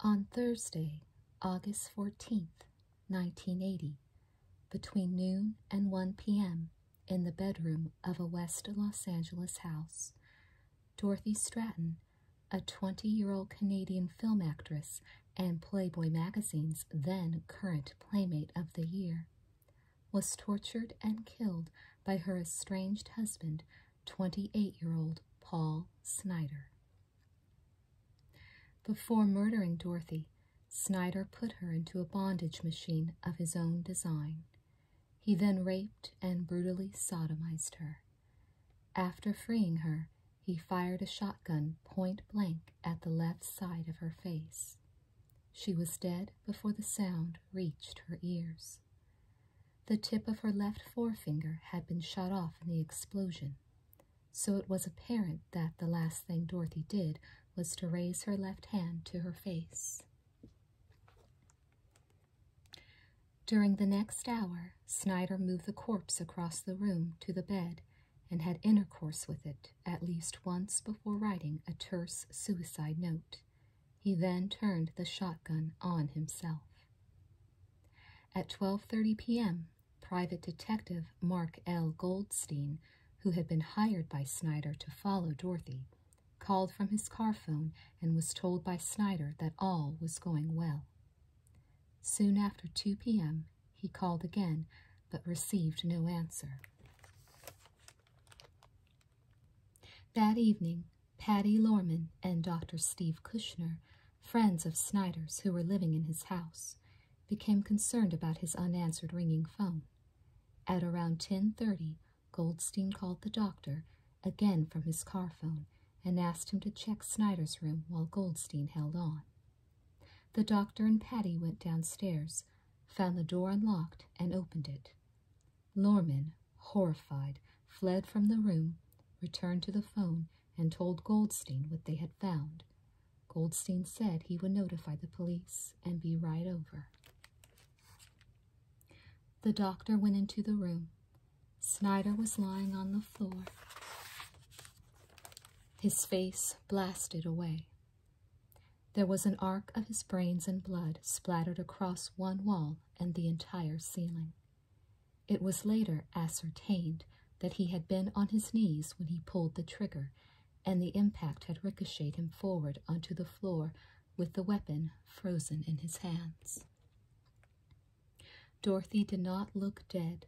On Thursday, August 14th, 1980, between noon and 1 p.m., in the bedroom of a West Los Angeles house, Dorothy Stratton, a 20 year old Canadian film actress and Playboy magazine's then current Playmate of the Year, was tortured and killed by her estranged husband, 28 year old Paul Snyder. Before murdering Dorothy, Snyder put her into a bondage machine of his own design. He then raped and brutally sodomized her. After freeing her, he fired a shotgun point blank at the left side of her face. She was dead before the sound reached her ears. The tip of her left forefinger had been shot off in the explosion, so it was apparent that the last thing Dorothy did was to raise her left hand to her face. During the next hour, Snyder moved the corpse across the room to the bed and had intercourse with it at least once before writing a terse suicide note he then turned the shotgun on himself. At 12:30 p.m., Private Detective Mark L. Goldstein, who had been hired by Snyder to follow Dorothy, called from his car phone and was told by Snyder that all was going well. Soon after 2 p.m., he called again but received no answer. That evening, Patty Lorman and Dr. Steve Kushner, friends of Snyder's who were living in his house, became concerned about his unanswered ringing phone. At around 10:30, Goldstein called the doctor again from his car phone and asked him to check Snyder's room while Goldstein held on. The doctor and Patty went downstairs, found the door unlocked, and opened it. Norman, horrified, fled from the room, returned to the phone, and told Goldstein what they had found. Goldstein said he would notify the police and be right over. The doctor went into the room. Snyder was lying on the floor, his face blasted away. There was an arc of his brains and blood splattered across one wall and the entire ceiling. It was later ascertained that he had been on his knees when he pulled the trigger, and the impact had ricocheted him forward onto the floor with the weapon frozen in his hands. Dorothy did not look dead.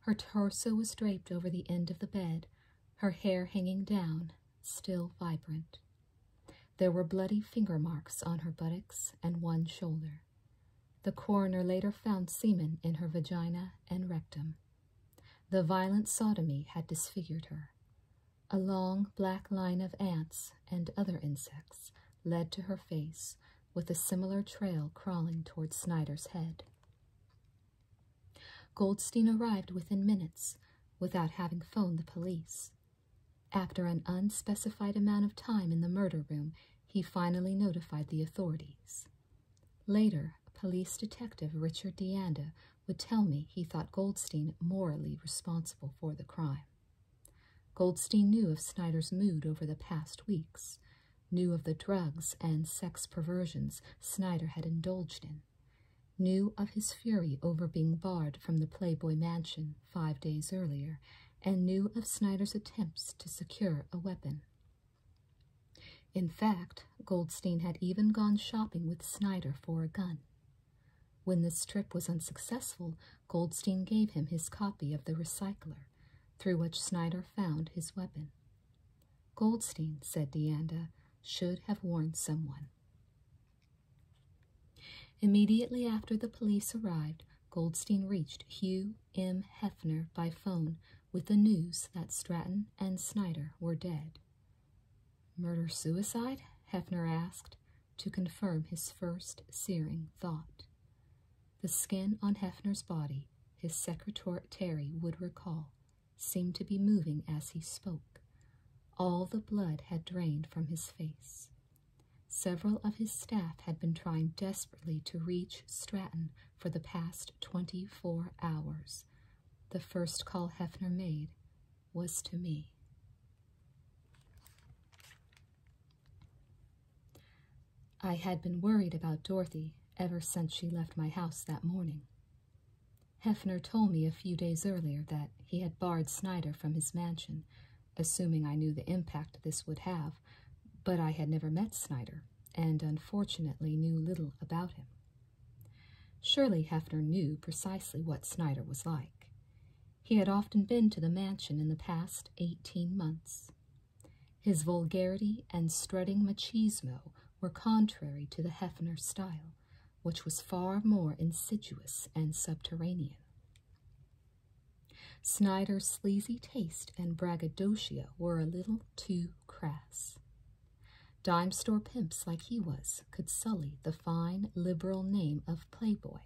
Her torso was draped over the end of the bed, her hair hanging down, still vibrant. There were bloody finger marks on her buttocks and one shoulder. The coroner later found semen in her vagina and rectum. The violent sodomy had disfigured her. A long black line of ants and other insects led to her face, with a similar trail crawling toward Snyder's head. Goldstein arrived within minutes without having phoned the police. After an unspecified amount of time in the murder room, he finally notified the authorities. Later, police detective Richard DeAnda would tell me he thought Goldstein morally responsible for the crime. Goldstein knew of Snyder's mood over the past weeks, knew of the drugs and sex perversions Snyder had indulged in, knew of his fury over being barred from the Playboy Mansion five days earlier, and knew of Snyder's attempts to secure a weapon. In fact, Goldstein had even gone shopping with Snyder for a gun. When this trip was unsuccessful, Goldstein gave him his copy of The Recycler, through which Snyder found his weapon. Goldstein, said Deanda, should have warned someone. Immediately after the police arrived, Goldstein reached Hugh M. Hefner by phone with the news that Stratton and Snyder were dead. Murder suicide? Hefner asked to confirm his first searing thought. The skin on Hefner's body, his secretary would recall, seemed to be moving as he spoke. All the blood had drained from his face. Several of his staff had been trying desperately to reach Stratton for the past 24 hours. The first call Hefner made was to me. I had been worried about Dorothy ever since she left my house that morning. Hefner told me a few days earlier that he had barred Snyder from his mansion assuming I knew the impact this would have, but I had never met Snyder and unfortunately knew little about him. Surely Hefner knew precisely what Snyder was like. He had often been to the mansion in the past eighteen months. His vulgarity and strutting machismo were contrary to the Hefner style, which was far more insidious and subterranean. Snyder's sleazy taste and braggadocio were a little too crass. Dime store pimps like he was could sully the fine liberal name of Playboy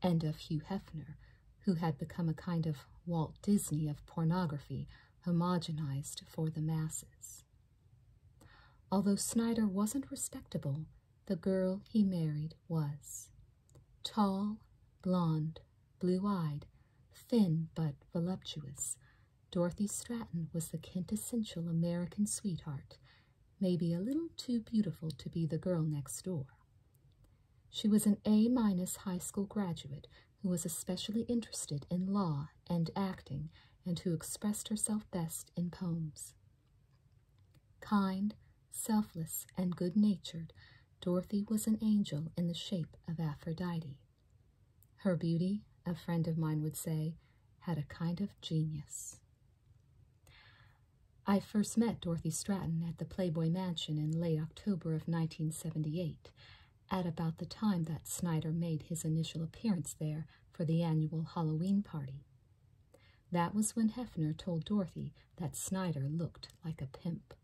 and of Hugh Hefner, who had become a kind of Walt Disney of pornography homogenized for the masses. Although Snyder wasn't respectable, the girl he married was. Tall, blonde, blue eyed, thin but voluptuous, Dorothy Stratton was the quintessential American sweetheart, maybe a little too beautiful to be the girl next door. She was an A minus high school graduate who was especially interested in law and acting and who expressed herself best in poems. Kind, Selfless and good natured, Dorothy was an angel in the shape of Aphrodite. Her beauty, a friend of mine would say, had a kind of genius. I first met Dorothy Stratton at the Playboy Mansion in late October of 1978, at about the time that Snyder made his initial appearance there for the annual Halloween party. That was when Hefner told Dorothy that Snyder looked like a pimp.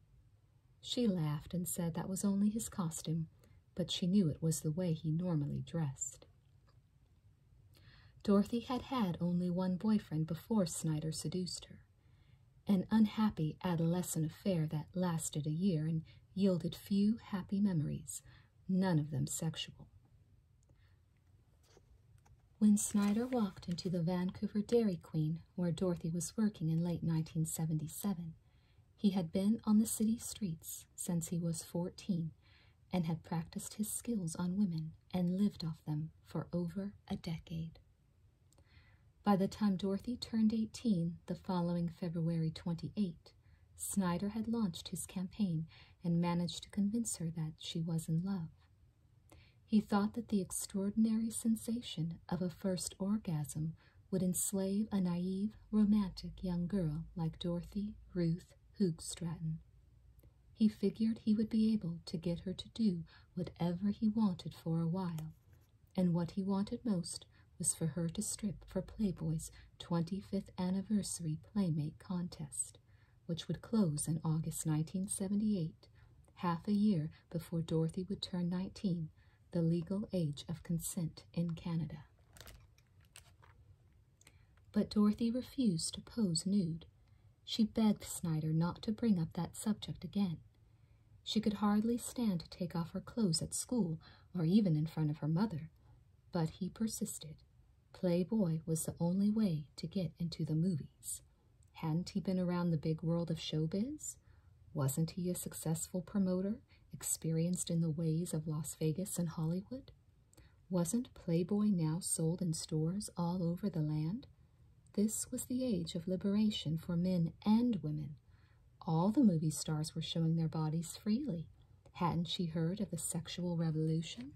She laughed and said that was only his costume, but she knew it was the way he normally dressed. Dorothy had had only one boyfriend before Snyder seduced her, an unhappy adolescent affair that lasted a year and yielded few happy memories, none of them sexual. When Snyder walked into the Vancouver Dairy Queen, where Dorothy was working in late 1977, he had been on the city streets since he was 14 and had practiced his skills on women and lived off them for over a decade. By the time Dorothy turned 18 the following February 28, Snyder had launched his campaign and managed to convince her that she was in love. He thought that the extraordinary sensation of a first orgasm would enslave a naive, romantic young girl like Dorothy Ruth Hoogstraten. He figured he would be able to get her to do whatever he wanted for a while, and what he wanted most was for her to strip for Playboy's 25th anniversary Playmate contest, which would close in August 1978, half a year before Dorothy would turn 19, the legal age of consent in Canada. But Dorothy refused to pose nude. She begged Snyder not to bring up that subject again. She could hardly stand to take off her clothes at school or even in front of her mother, but he persisted. Playboy was the only way to get into the movies. Hadn't he been around the big world of showbiz? Wasn't he a successful promoter, experienced in the ways of Las Vegas and Hollywood? Wasn't Playboy now sold in stores all over the land? This was the age of liberation for men and women. All the movie stars were showing their bodies freely. Hadn't she heard of the sexual revolution?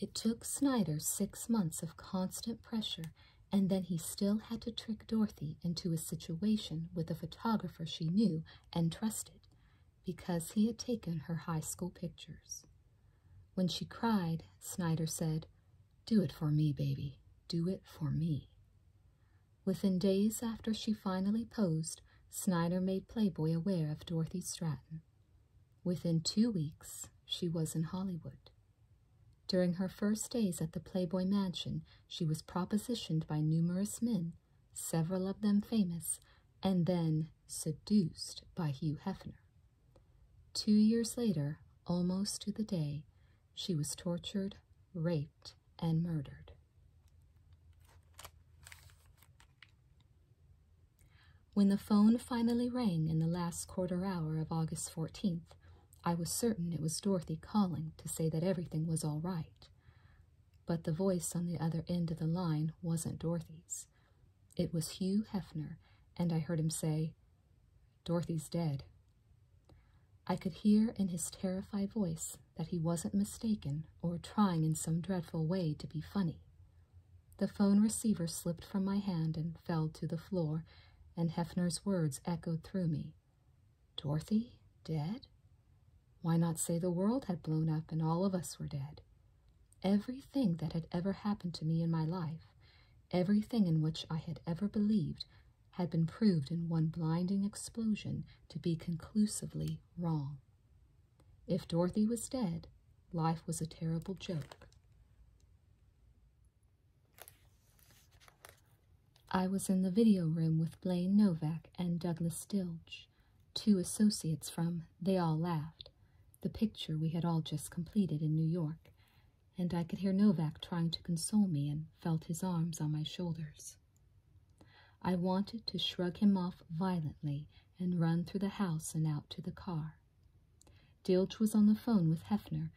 It took Snyder six months of constant pressure, and then he still had to trick Dorothy into a situation with a photographer she knew and trusted because he had taken her high school pictures. When she cried, Snyder said, Do it for me, baby. Do it for me. Within days after she finally posed, August, Snyder made Playboy aware of Dorothy Stratton. Within two weeks, she was in Hollywood. During her first days at the Playboy Mansion, she was propositioned by numerous men, several of them famous, and then seduced by Hugh Hefner. Two years later, almost to the day, she was tortured, raped, and murdered. When the phone finally rang in the last quarter hour of August 14th, I was certain it was Dorothy calling to say that everything was all right. But the voice on the other end of the line wasn't Dorothy's. It was Hugh Hefner, and I heard him say, Dorothy's dead. I could hear in his terrified voice that he wasn't mistaken or trying in some dreadful way to be funny. The phone receiver slipped from my hand and fell to the floor, and Hefner's words echoed through me. Dorothy? Dead? Why not say the world had blown up and all of us were dead? Everything that had ever happened to me in my life, everything in which I had ever believed, had been proved in one blinding explosion to be conclusively wrong. If Dorothy was dead, life was a terrible joke. I was in the video room with Blaine Novak and Douglas Stilge, two associates from They All Laughed, the picture we had all just completed in New York, and I could hear Novak trying to console me and felt his arms on my shoulders. I wanted to shrug him off violently and run through the house and out to the car. Dilge was on the phone with Hefner,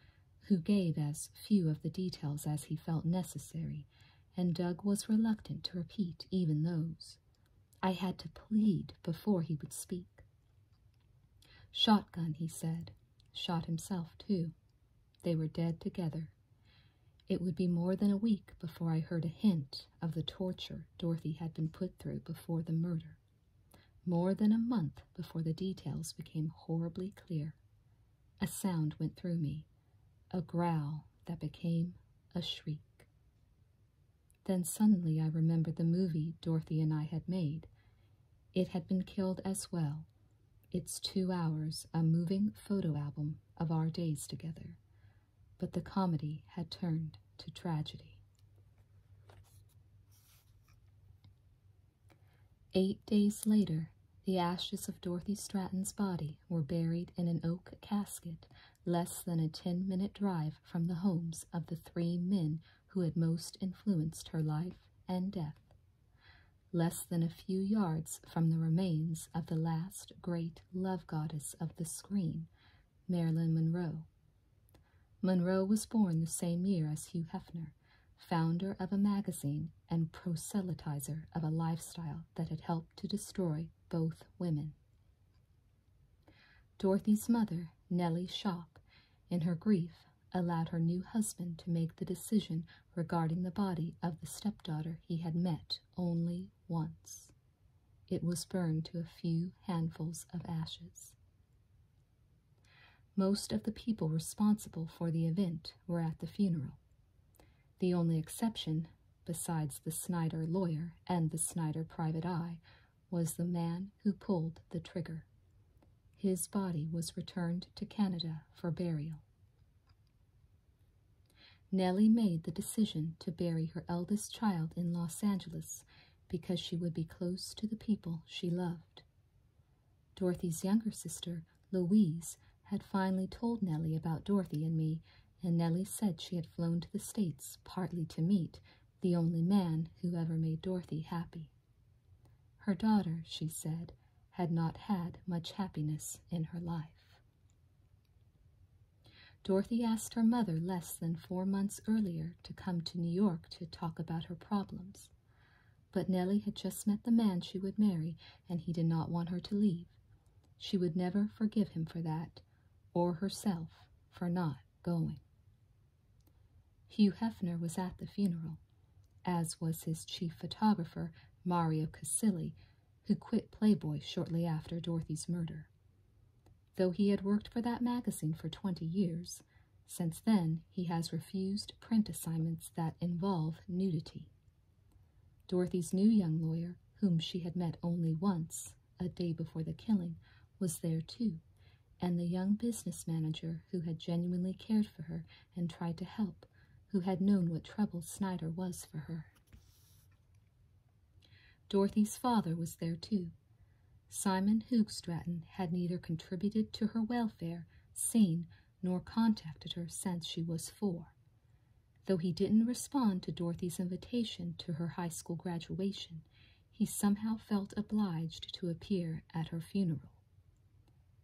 who gave as few of the details as he felt necessary, and Doug was reluctant to repeat even those. I had to plead before he would speak. Shotgun, he said. Shot himself, too. They were dead together. It would be more than a week before I heard a hint of the torture Dorothy had been put through before the murder, more than a month before the details became horribly clear. A sound went through me, a growl that became a shriek. Then suddenly I remembered the movie Dorothy and I had made. It had been killed as well. It's two hours, a moving photo album of our days together, but the comedy had turned to tragedy. Eight days later, the ashes of Dorothy Stratton's body were buried in an oak casket less than a ten minute drive from the homes of the three men who had most influenced her life and death, less than a few yards from the remains of the last great love goddess of the screen Marilyn Monroe. Monroe was born the same year as Hugh Hefner, founder of a magazine and proselytizer of a lifestyle that had helped to destroy both women. Dorothy's mother, Nellie Shop, in her grief, allowed her new husband to make the decision regarding the body of the stepdaughter he had met only once. It was burned to a few handfuls of ashes. Most of the people responsible for the event were at the funeral. The only exception, besides the Snyder lawyer and the Snyder private eye, was the man who pulled the trigger. His body was returned to Canada for burial. Nellie made the decision to bury her eldest child in Los Angeles because she would be close to the people she loved. Dorothy's younger sister, Louise, had finally told Nellie about Dorothy and me, and Nellie said she had flown to the States partly to meet the only man who ever made Dorothy happy. Her daughter, she said, had not had much happiness in her life. Dorothy asked her mother less than four months earlier to come to New York to talk about her problems. But Nellie had just met the man she would marry, and he did not want her to leave. She would never forgive him for that, or herself for not going. Hugh Hefner was at the funeral, as was his chief photographer, Mario Casilli, who quit Playboy shortly after Dorothy's murder. Though he had worked for that magazine for 20 years, since then he has refused print assignments that involve nudity. Dorothy's new young lawyer, whom she had met only once, a day before the killing, was there too, and the young business manager who had genuinely cared for her and tried to help, who had known what trouble Snyder was for her. Dorothy's father was there too. Simon Hoogstraten had neither contributed to her welfare, seen, nor contacted her since she was four. Though he didn't respond to Dorothy's invitation to her high school graduation, he somehow felt obliged to appear at her funeral.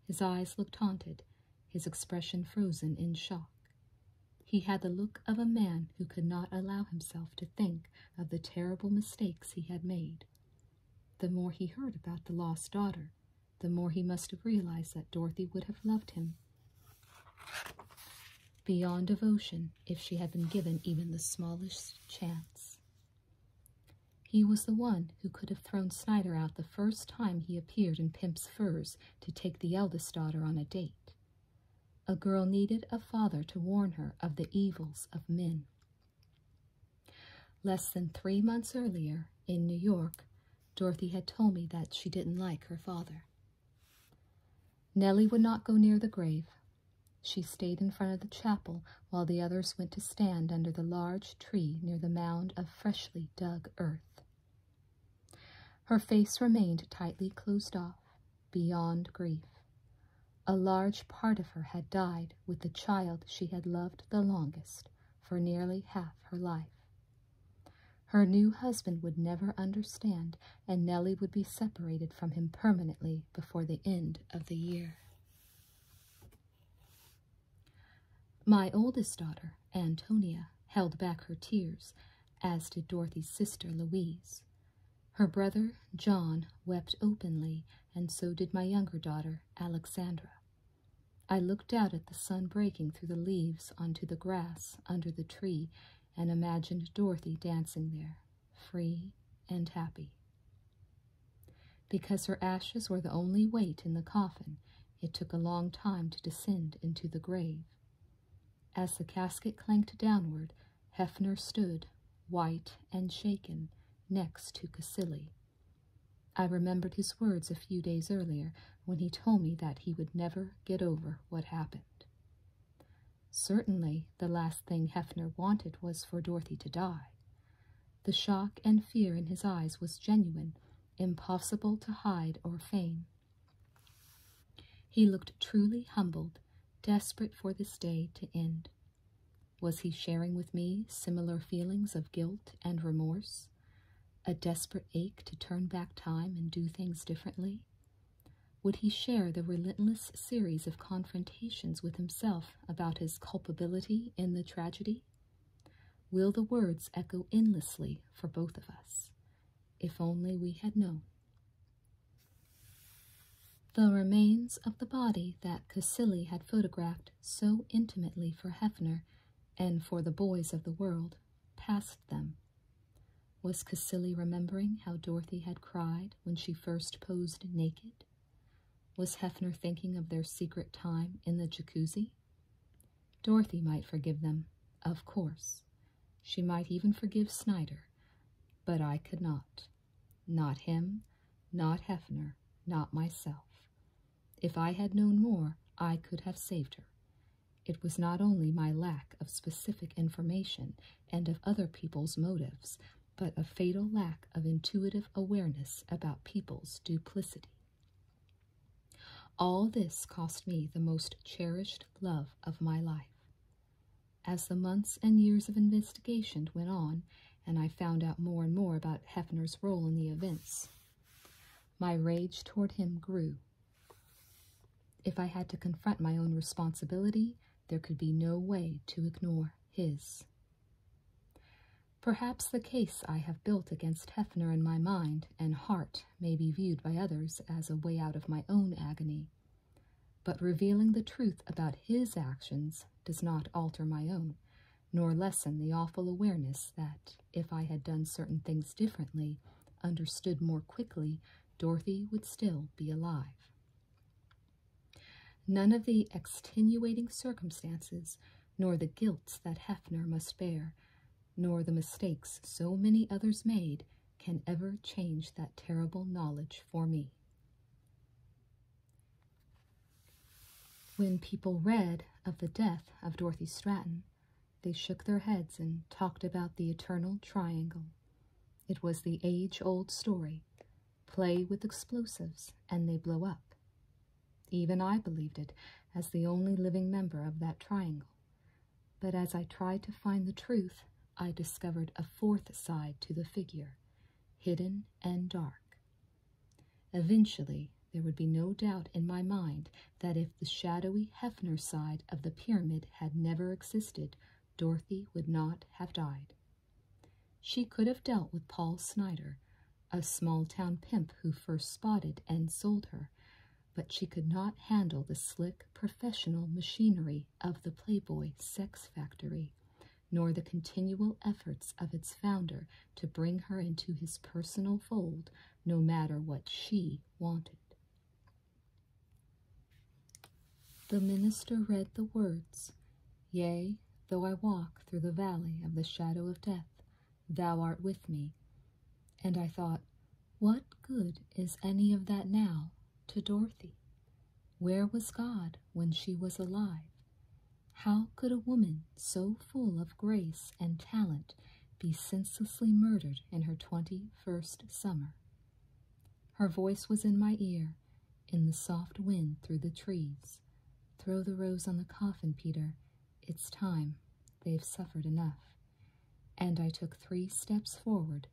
His eyes looked haunted, his expression frozen in shock. He had the look of a man who could not allow himself to think of the terrible mistakes he had made. The more he heard about the lost daughter, the more he must have realized that Dorothy would have loved him beyond devotion if she had been given even the smallest chance. He was the one who could have thrown Snyder out the first time he appeared in Pimp's Furs to take the eldest daughter on a date, a girl needed a father to warn her of the evils of men. Less than three months earlier, in New York, Dorothy had told me that she didn't like her father. Nellie would not go near the grave. She stayed in front of the chapel while the others went to stand under the large tree near the mound of freshly dug earth. Her face remained tightly closed off, beyond grief. A large part of her had died with the child she had loved the longest for nearly half her life. Her new husband would never understand, and Nellie would be separated from him permanently before the end of the year. My oldest daughter, Antonia, held back her tears, as did Dorothy's sister, Louise. Her brother, John, wept openly, and so did my younger daughter, Alexandra. I looked out at the sun breaking through the leaves onto the grass under the tree and imagined Dorothy dancing there, free and happy. Because her ashes were the only weight in the coffin, it took a long time to descend into the grave. As the casket clanked downward, Hefner stood, white and shaken, next to Casilli. I remembered his words a few days earlier when he told me that he would never get over what happened. Certainly, the last thing Hefner wanted was for Dorothy to die. The shock and fear in his eyes was genuine, impossible to hide or feign. He looked truly humbled, desperate for this day to end. Was he sharing with me similar feelings of guilt and remorse? A desperate ache to turn back time and do things differently? Would he share the relentless series of confrontations with himself about his culpability in the tragedy? Will the words echo endlessly for both of us? If only we had known. The remains of the body that Casilli had photographed so intimately for Hefner and for the boys of the world passed them. Was Casilli remembering how Dorothy had cried when she first posed naked? Was Hefner thinking of their secret time in the jacuzzi? Dorothy might forgive them, of course. She might even forgive Snyder but I could not. Not him, not Hefner, not myself. If I had known more, I could have saved her. It was not only my lack of specific information and of other people's motives, but a fatal lack of intuitive awareness about people's duplicity. All this cost me the most cherished love of my life. As the months and years of investigation went on, and I found out more and more about Hefner's role in the events, my rage toward him grew. If I had to confront my own responsibility, there could be no way to ignore his. Perhaps the case I have built against Hefner in my mind and heart may be viewed by others as a way out of my own agony, but revealing the truth about his actions does not alter my own, nor lessen the awful awareness that, if I had done certain things differently, understood more quickly, Dorothy would still be alive. None of the extenuating circumstances, nor the guilt that Hefner must bear, nor the mistakes so many others made, can ever change that terrible knowledge for me. When people read of the death of Dorothy Stratton, they shook their heads and talked about the eternal triangle. It was the age-old story. Play with explosives and they blow up. Even I believed it as the only living member of that triangle. But as I tried to find the truth, I discovered a fourth side to the figure, hidden and dark. Eventually, there would be no doubt in my mind that if the shadowy Hefner side of the pyramid had never existed, Dorothy would not have died. She could have dealt with Paul Snyder, a small town pimp who first spotted and sold her, but she could not handle the slick professional machinery of the Playboy sex factory, nor the continual efforts of its founder to bring her into his personal fold no matter what she wanted. The minister read the words, Yea, though I walk through the valley of the shadow of death, thou art with me. And I thought, what good is any of that now to Dorothy. Where was God when she was alive? How could a woman so full of grace and talent be senselessly murdered in her twenty first summer? Her voice was in my ear, in the soft wind through the trees. Throw the rose on the coffin, Peter. It's time. They've suffered enough. And I took three steps forward,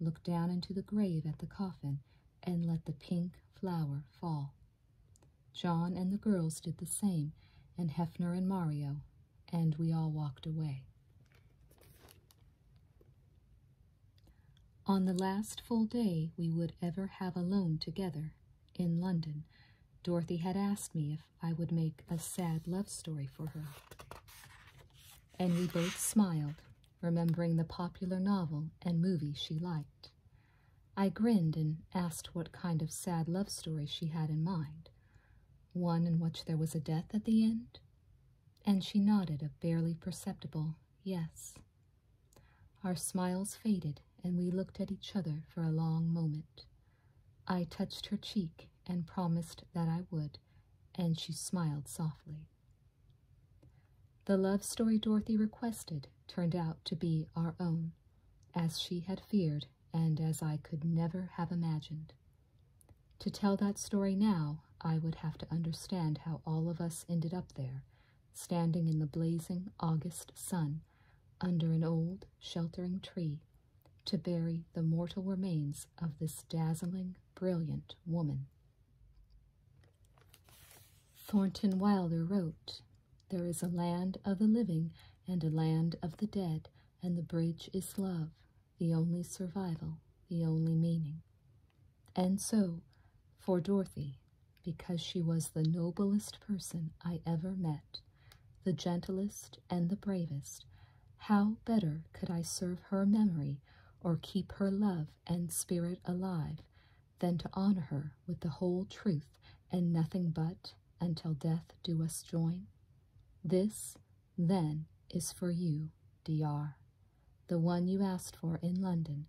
looked down into the grave at the coffin, and let the pink flower fall. John and the girls did the same, and Hefner and Mario, and we all walked away. On the last full day we would ever have alone together, in London, Dorothy had asked me if I would make a sad love story for her. And we both smiled remembering the popular novel and movie she liked. I grinned and asked what kind of sad love story she had in mind. One in which there was a death at the end? And she nodded a barely perceptible yes. Our smiles faded, and we looked at each other for a long moment. I touched her cheek and promised that I would, and she smiled softly. The love story Dorothy requested turned out to be our own, as she had feared and as I could never have imagined. To tell that story now, I would have to understand how all of us ended up there, standing in the blazing August sun under an old sheltering tree to bury the mortal remains of this dazzling, brilliant woman. Thornton Wilder wrote, There is a land of the living and a land of the dead, and the bridge is love, the only survival, the only meaning. And so, for Dorothy, because she was the noblest person I ever met, the gentlest and the bravest, how better could I serve her memory or keep her love and spirit alive than to honor her with the whole truth and nothing but until death do us join? This, then, is for you, D.R., the one you asked for in London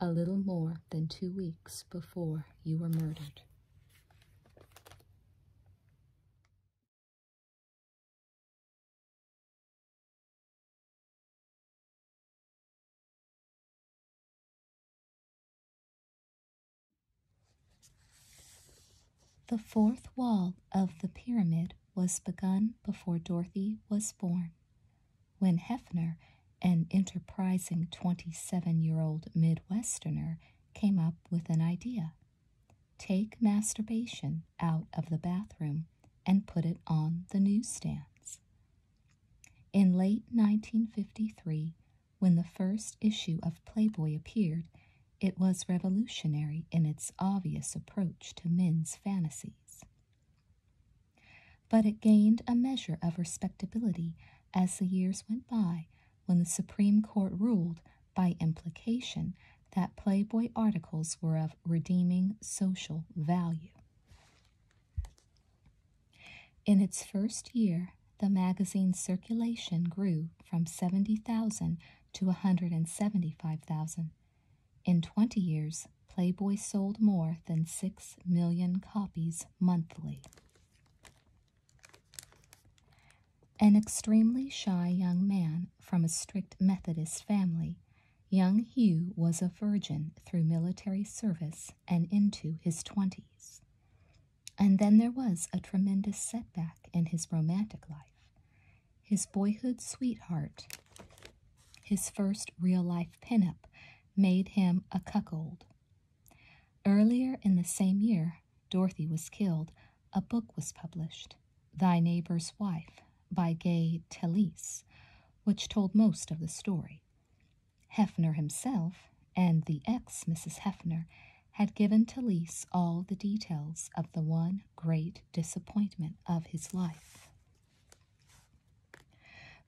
a little more than two weeks before you were murdered. The fourth wall of the pyramid was begun before Dorothy was born. When Hefner, an enterprising 27 year old Midwesterner, came up with an idea take masturbation out of the bathroom and put it on the newsstands. In late 1953, when the first issue of Playboy appeared, it was revolutionary in its obvious approach to men's fantasies. But it gained a measure of respectability as the years went by when the Supreme Court ruled, by implication, that Playboy articles were of redeeming social value. In its first year, the magazine's circulation grew from 70,000 to a 175,000. In 20 years, Playboy sold more than 6 million copies monthly. An extremely shy young man from a strict Methodist family, Young Hugh was a virgin through military service and into his twenties. And then there was a tremendous setback in his romantic life. His boyhood sweetheart, his first real life pinup, made him a cuckold. Earlier in the same year, Dorothy was killed, a book was published, Thy Neighbor's Wife by Gay Talese, which told most of the story. Hefner himself and the ex Mrs. Hefner had given Talese all the details of the one great disappointment of his life.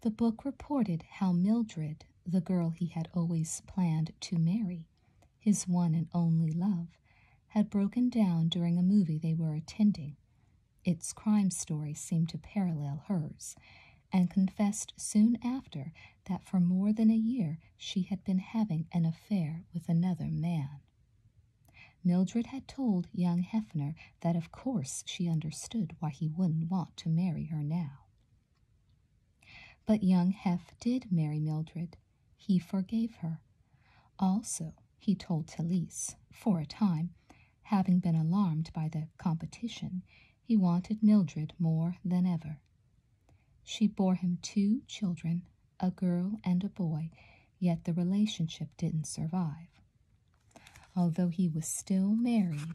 The book reported how Mildred, the girl he had always planned to marry, his one and only love, had broken down during a movie they were attending, its crime story seemed to parallel hers, and confessed soon after that for more than a year she had been having an affair with another man. Mildred had told young Hefner that of course she understood why he wouldn't want to marry her now. But young Hef did marry Mildred. He forgave her. Also, he told Talise, for a time, having been alarmed by the competition, he wanted Mildred more than ever. She bore him two children, a girl and a boy, yet the relationship didn't survive. Although he was still married,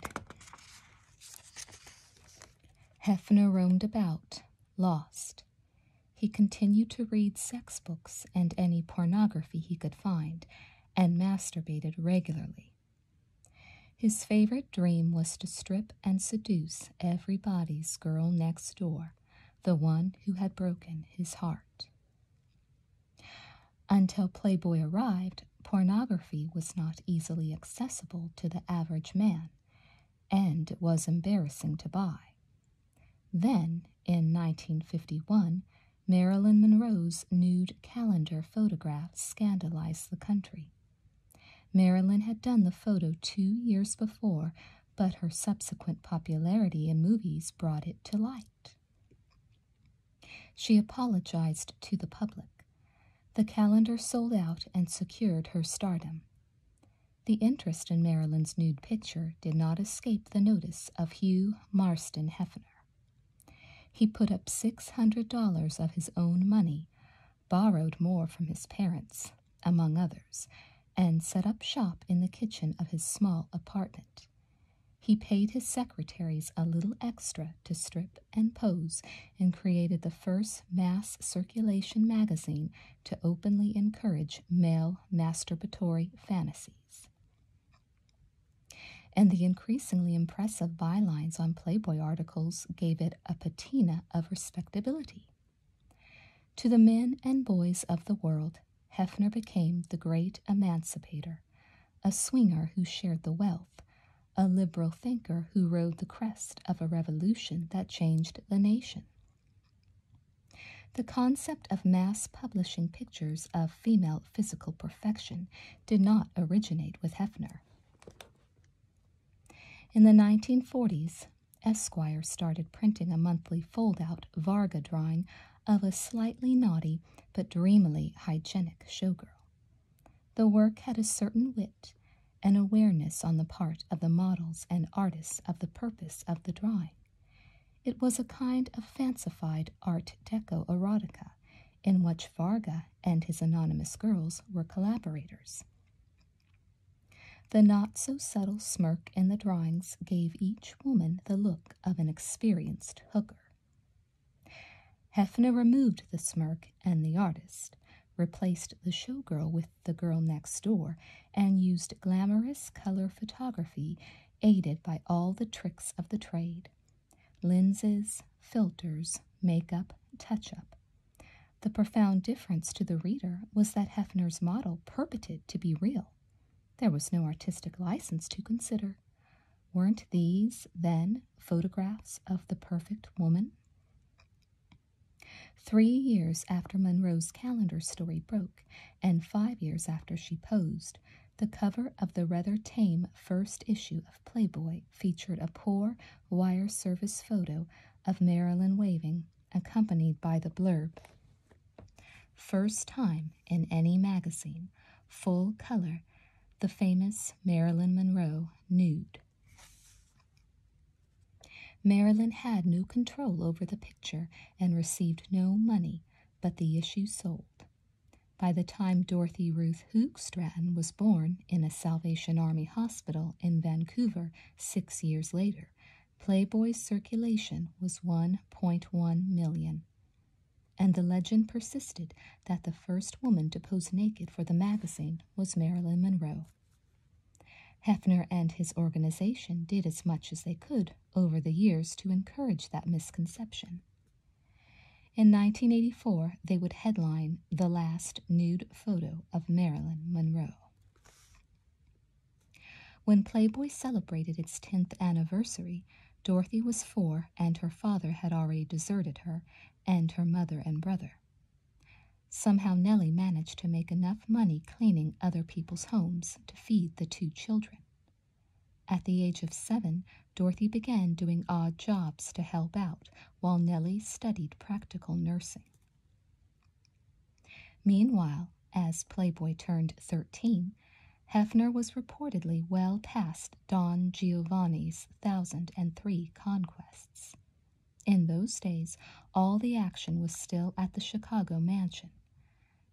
Hefner roamed about, lost. He continued to read sex books and any pornography he could find, and masturbated regularly. His favorite dream was to strip and seduce everybody's girl next door, the one who had broken his heart. Until Playboy arrived, pornography was not easily accessible to the average man, and it was embarrassing to buy. Then, in 1951, Marilyn Monroe's nude calendar photograph scandalized the country. Marilyn had done the photo two years before, but her subsequent popularity in movies brought it to light. She apologized to the public. The calendar sold out and secured her stardom. The interest in Marilyn's nude picture did not escape the notice of Hugh Marston Hefner. He put up $600 of his own money, borrowed more from his parents, among others, and set up shop in the kitchen of his small apartment. He paid his secretaries a little extra to strip and pose and created the first mass circulation magazine to openly encourage male masturbatory fantasies. And the increasingly impressive bylines on Playboy articles gave it a patina of respectability. To the men and boys of the world, Hefner became the great emancipator, a swinger who shared the wealth, a liberal thinker who rode the crest of a revolution that changed the nation. The concept of mass publishing pictures of female physical perfection did not originate with Hefner. In the 1940s, Esquire started printing a monthly fold-out Varga drawing of a slightly naughty but dreamily hygienic showgirl. The work had a certain wit an awareness on the part of the models and artists of the purpose of the drawing. It was a kind of fancified Art Deco erotica in which Varga and his anonymous girls were collaborators. The not so subtle smirk in the drawings gave each woman the look of an experienced hooker. Hefner removed the smirk and the artist, replaced the showgirl with the girl next door, and used glamorous color photography aided by all the tricks of the trade Lenses, filters, makeup, touch up. The profound difference to the reader was that Hefner's model purported to be real. There was no artistic license to consider. Weren't these, then, photographs of the perfect woman? Three years after Monroe's calendar story broke, and five years after she posed, the cover of the rather tame first issue of Playboy featured a poor wire service photo of Marilyn waving, accompanied by the blurb First time in any magazine, full color, the famous Marilyn Monroe nude. Marilyn had no control over the picture and received no money, but the issue sold. By the time Dorothy Ruth Hook Stratton was born in a Salvation Army hospital in Vancouver six years later, Playboy's circulation was 1.1 million. And the legend persisted that the first woman to pose naked for the magazine was Marilyn Monroe. Hefner and his organization did as much as they could over the years to encourage that misconception. In 1984, they would headline The Last Nude Photo of Marilyn Monroe. When Playboy celebrated its 10th anniversary, Dorothy was four and her father had already deserted her and her mother and brother. Somehow Nellie managed to make enough money cleaning other people's homes to feed the two children. At the age of seven, Dorothy began doing odd jobs to help out while Nellie studied practical nursing. Meanwhile, as Playboy turned 13, Hefner was reportedly well past Don Giovanni's 1003 conquests. In those days, all the action was still at the Chicago mansion,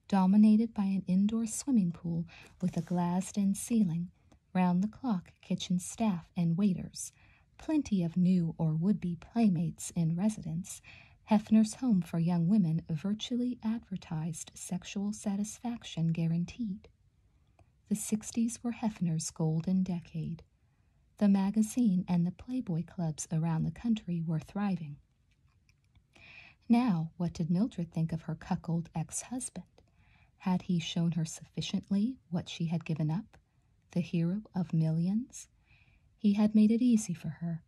dominated by an indoor swimming pool with a glassed in ceiling round the clock kitchen staff and waiters, plenty of new or would be playmates in residence, Hefner's home for young women virtually advertised sexual satisfaction guaranteed. The 60s were Hefner's golden decade. The magazine and the Playboy clubs around the country were thriving. Now, what did Mildred think of her cuckold ex husband? Had he shown her sufficiently what she had given up, the hero of millions? He had made it easy for her.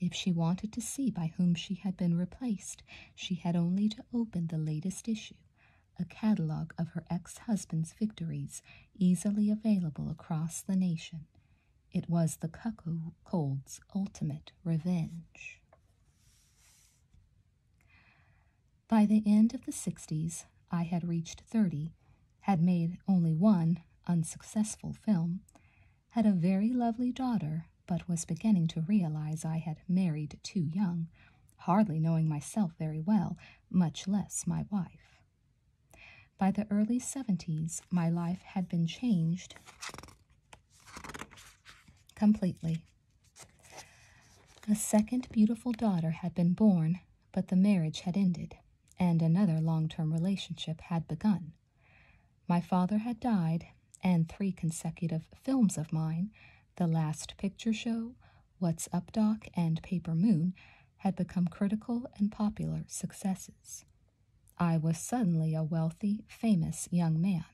If she wanted to see by whom she had been replaced, she had only to open the latest issue, a catalog of her ex husband's victories, easily available across the nation. It was the cuckoo cold's ultimate revenge. By the end of the 60s, I had reached 30, had made only one unsuccessful film, had a very lovely daughter, but was beginning to realize I had married too young, hardly knowing myself very well, much less my wife. By the early 70s, my life had been changed completely. A second beautiful daughter had been born, but the marriage had ended, and another long term relationship had begun. My father had died, and three consecutive films of mine The Last Picture Show, What's Up Doc, and Paper Moon had become critical and popular successes. I was suddenly a wealthy, famous young man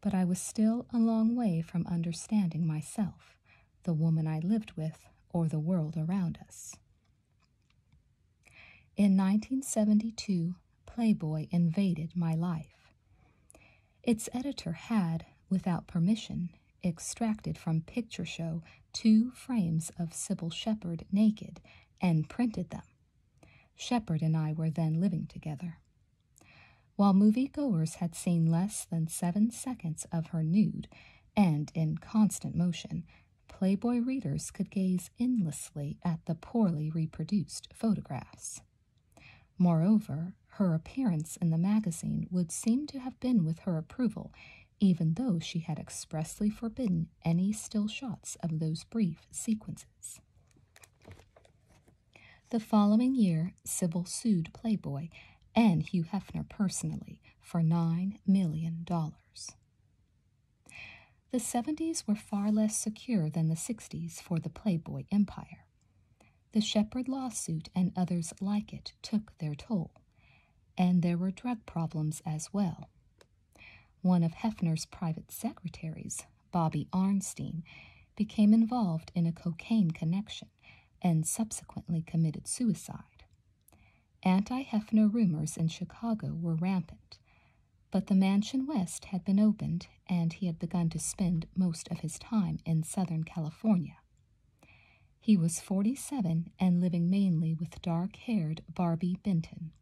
but I was still a long way from understanding myself, the woman I lived with, or the world around us. In 1972, Playboy invaded my life. Its editor had, without permission, extracted from Picture Show two frames of Sybil Shepherd naked and printed them. Shepherd and I were then living together. While moviegoers had seen less than seven seconds of her nude and in constant motion, Playboy readers could gaze endlessly at the poorly reproduced photographs. Moreover, her appearance in the magazine would seem to have been with her approval, even though she had expressly forbidden any still shots of those brief sequences. The following year, Sybil sued Playboy and Hugh Hefner personally for $9 million. The 70s were far less secure than the 60s for the Playboy empire. The Shepard lawsuit and others like it took their toll, and there were drug problems as well. One of Hefner's private secretaries, Bobby Arnstein, became involved in a cocaine connection and subsequently committed suicide. Anti Hefner rumors in Chicago were rampant, but the Mansion West had been opened and he had begun to spend most of his time in Southern California. He was 47 and living mainly with dark haired Barbie Benton.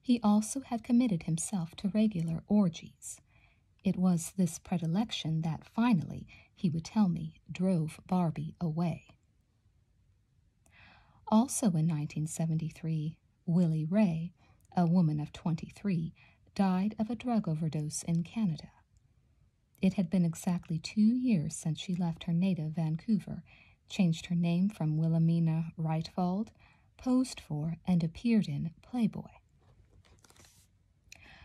He also had committed himself to regular orgies. It was this predilection that finally, he would tell me, drove Barbie away. Also in 1973, Willie Ray, a woman of 23, died of a drug overdose in Canada. It had been exactly two years since she left her native Vancouver, changed her name from Wilhelmina Reitwald, posed for and appeared in Playboy.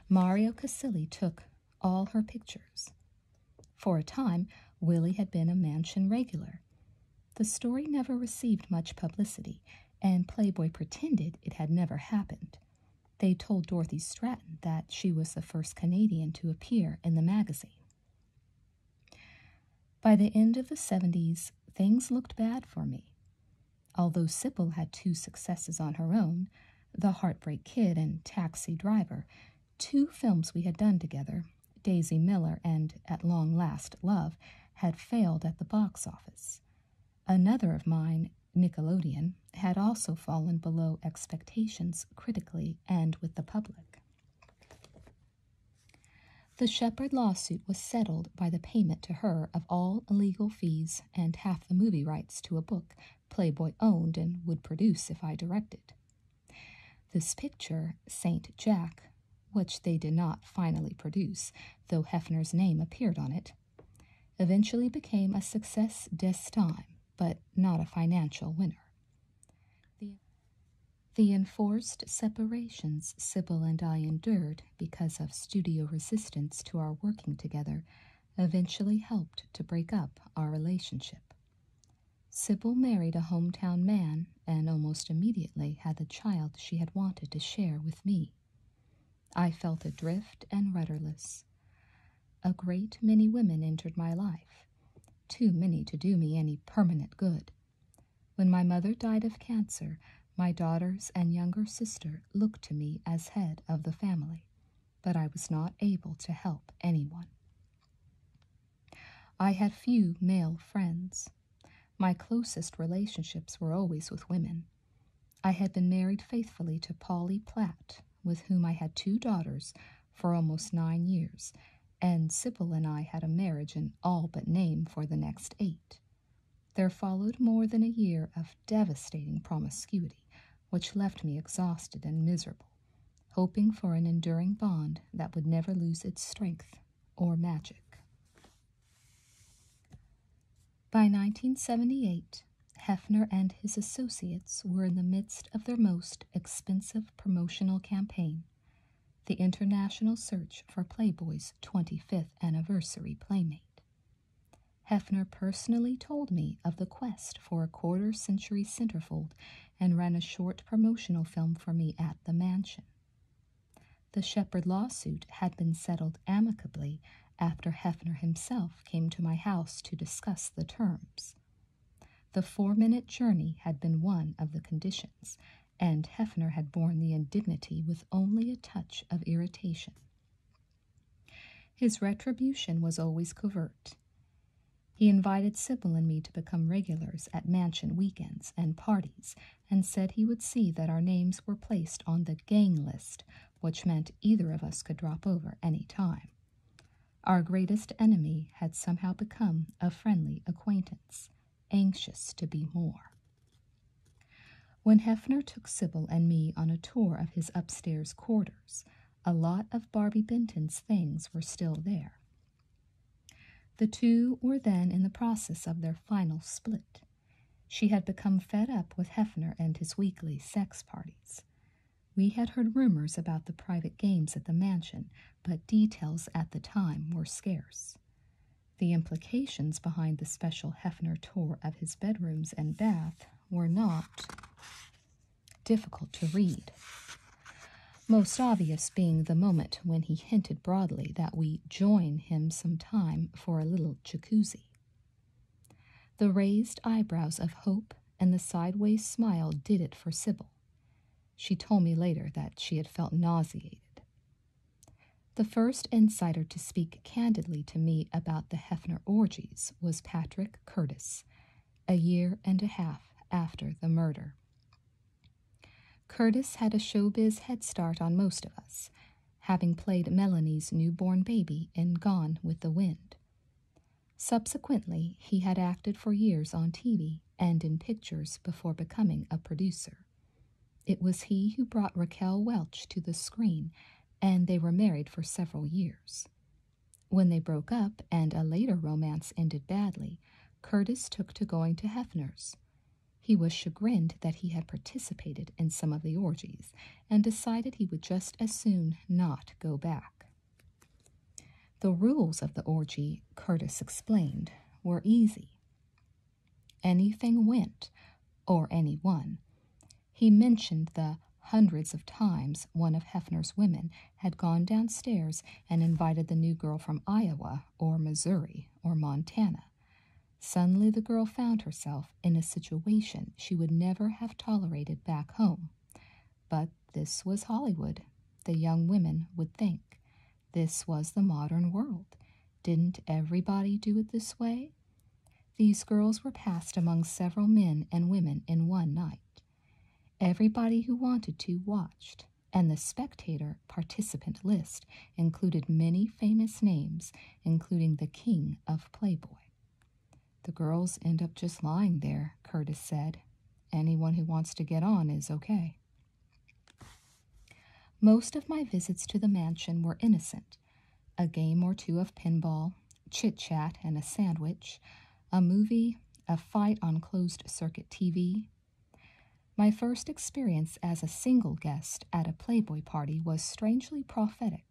Mario Casilli took all her pictures. For a time, Willie had been a mansion regular. The story never received much publicity, and Playboy pretended it had never happened. They told Dorothy Stratton that she was the first Canadian to appear in the magazine. By the end of the 70s, things looked bad for me. Although Sibyl had two successes on her own, The Heartbreak Kid and Taxi Driver, two films we had done together, Daisy Miller and At Long Last Love, had failed at the box office. Another of mine, Nickelodeon, had also fallen below expectations critically and with the public. The Shepard lawsuit was settled by the payment to her of all legal fees and half the movie rights to a book Playboy owned and would produce if I directed. This picture, St. Jack, which they did not finally produce, though Hefner's name appeared on it, eventually became a success d'estime, but not a financial winner. The, enforced separations Sibyl and I endured because of studio resistance to our working together eventually helped to break up our relationship. Sybil married a hometown man and almost immediately had the child she had wanted to share with me. I felt adrift and rudderless. A great many women entered my life, too many to do me any permanent good. When my mother died of cancer, my daughters and younger sister looked to me as head of the family, but I was not able to help anyone. I had few male friends. My closest relationships were always with women. I had been married faithfully to Polly Platt, with whom I had two daughters for almost nine years, and Sybil and I had a marriage in all but name for the next eight. There followed more than a year of devastating promiscuity, which left me exhausted and miserable, hoping for an enduring bond that would never lose its strength or magic. By 1978, Hefner and his associates were in the midst of their most expensive promotional campaign, the international search for Playboy's 25th anniversary playmate. Hefner personally told me of the quest for a quarter century centerfold and ran a short promotional film for me at the mansion. The Shepard lawsuit had been settled amicably after Hefner himself came to my house to discuss the terms. The four minute journey had been one of the conditions, and Hefner had borne the indignity with only a touch of irritation. His retribution was always covert. He invited Sybil and me to become regulars at mansion weekends and parties, and said he would see that our names were placed on the gang list, which meant either of us could drop over any time. Our greatest enemy had somehow become a friendly acquaintance, anxious to be more. When Hefner took Sybil and me on a tour of his upstairs quarters, a lot of Barbie Benton's things were still there. The two were then in the process of their final split. She had become fed up with Hefner and his weekly sex parties. We had heard rumors about the private games at the mansion, but details at the time were scarce. The implication implications behind the special Hefner tour of his bedrooms and bath were not difficult to read. Most obvious being the moment when he hinted broadly that we join him some time for a little jacuzzi. The raised eyebrows of Hope and the sideways smile did it for Sybil. She told me later that she had felt nauseated. The first insider to speak candidly to me about the Hefner orgies was Patrick Curtis, a year and a half after the murder. Curtis had a showbiz head start on most of us, having played Melanie's newborn baby in Gone with the Wind. Subsequently, he had acted for years on TV and in pictures before becoming a producer. It was he who brought Raquel Welch to the screen and they were married for several years. When they broke up and a later romance ended badly, Curtis took to going to Hefner's. He was chagrined that he had participated in some of the orgies and decided he would just as soon not go back. The rules of the orgy, Curtis explained, were easy. Anything went, or anyone. He mentioned the hundreds of times one of Hefner's women had gone downstairs and invited the new girl from Iowa or Missouri or Montana. Suddenly, the girl found herself in a situation she would never have tolerated back home. But this was Hollywood, the young women would think. This was the modern world. Didn't everybody do it this way? These girls were passed among several men and women in one night. Everybody who wanted to watched, and the spectator participant list included many famous names, including the king of Playboy. The girls end up just lying there, Curtis said. Anyone who wants to get on is okay. Most of my visits to the mansion were innocent a game or two of pinball, chit chat and a sandwich, a movie, a fight on closed circuit TV. My first experience as a single guest at a Playboy party was strangely prophetic.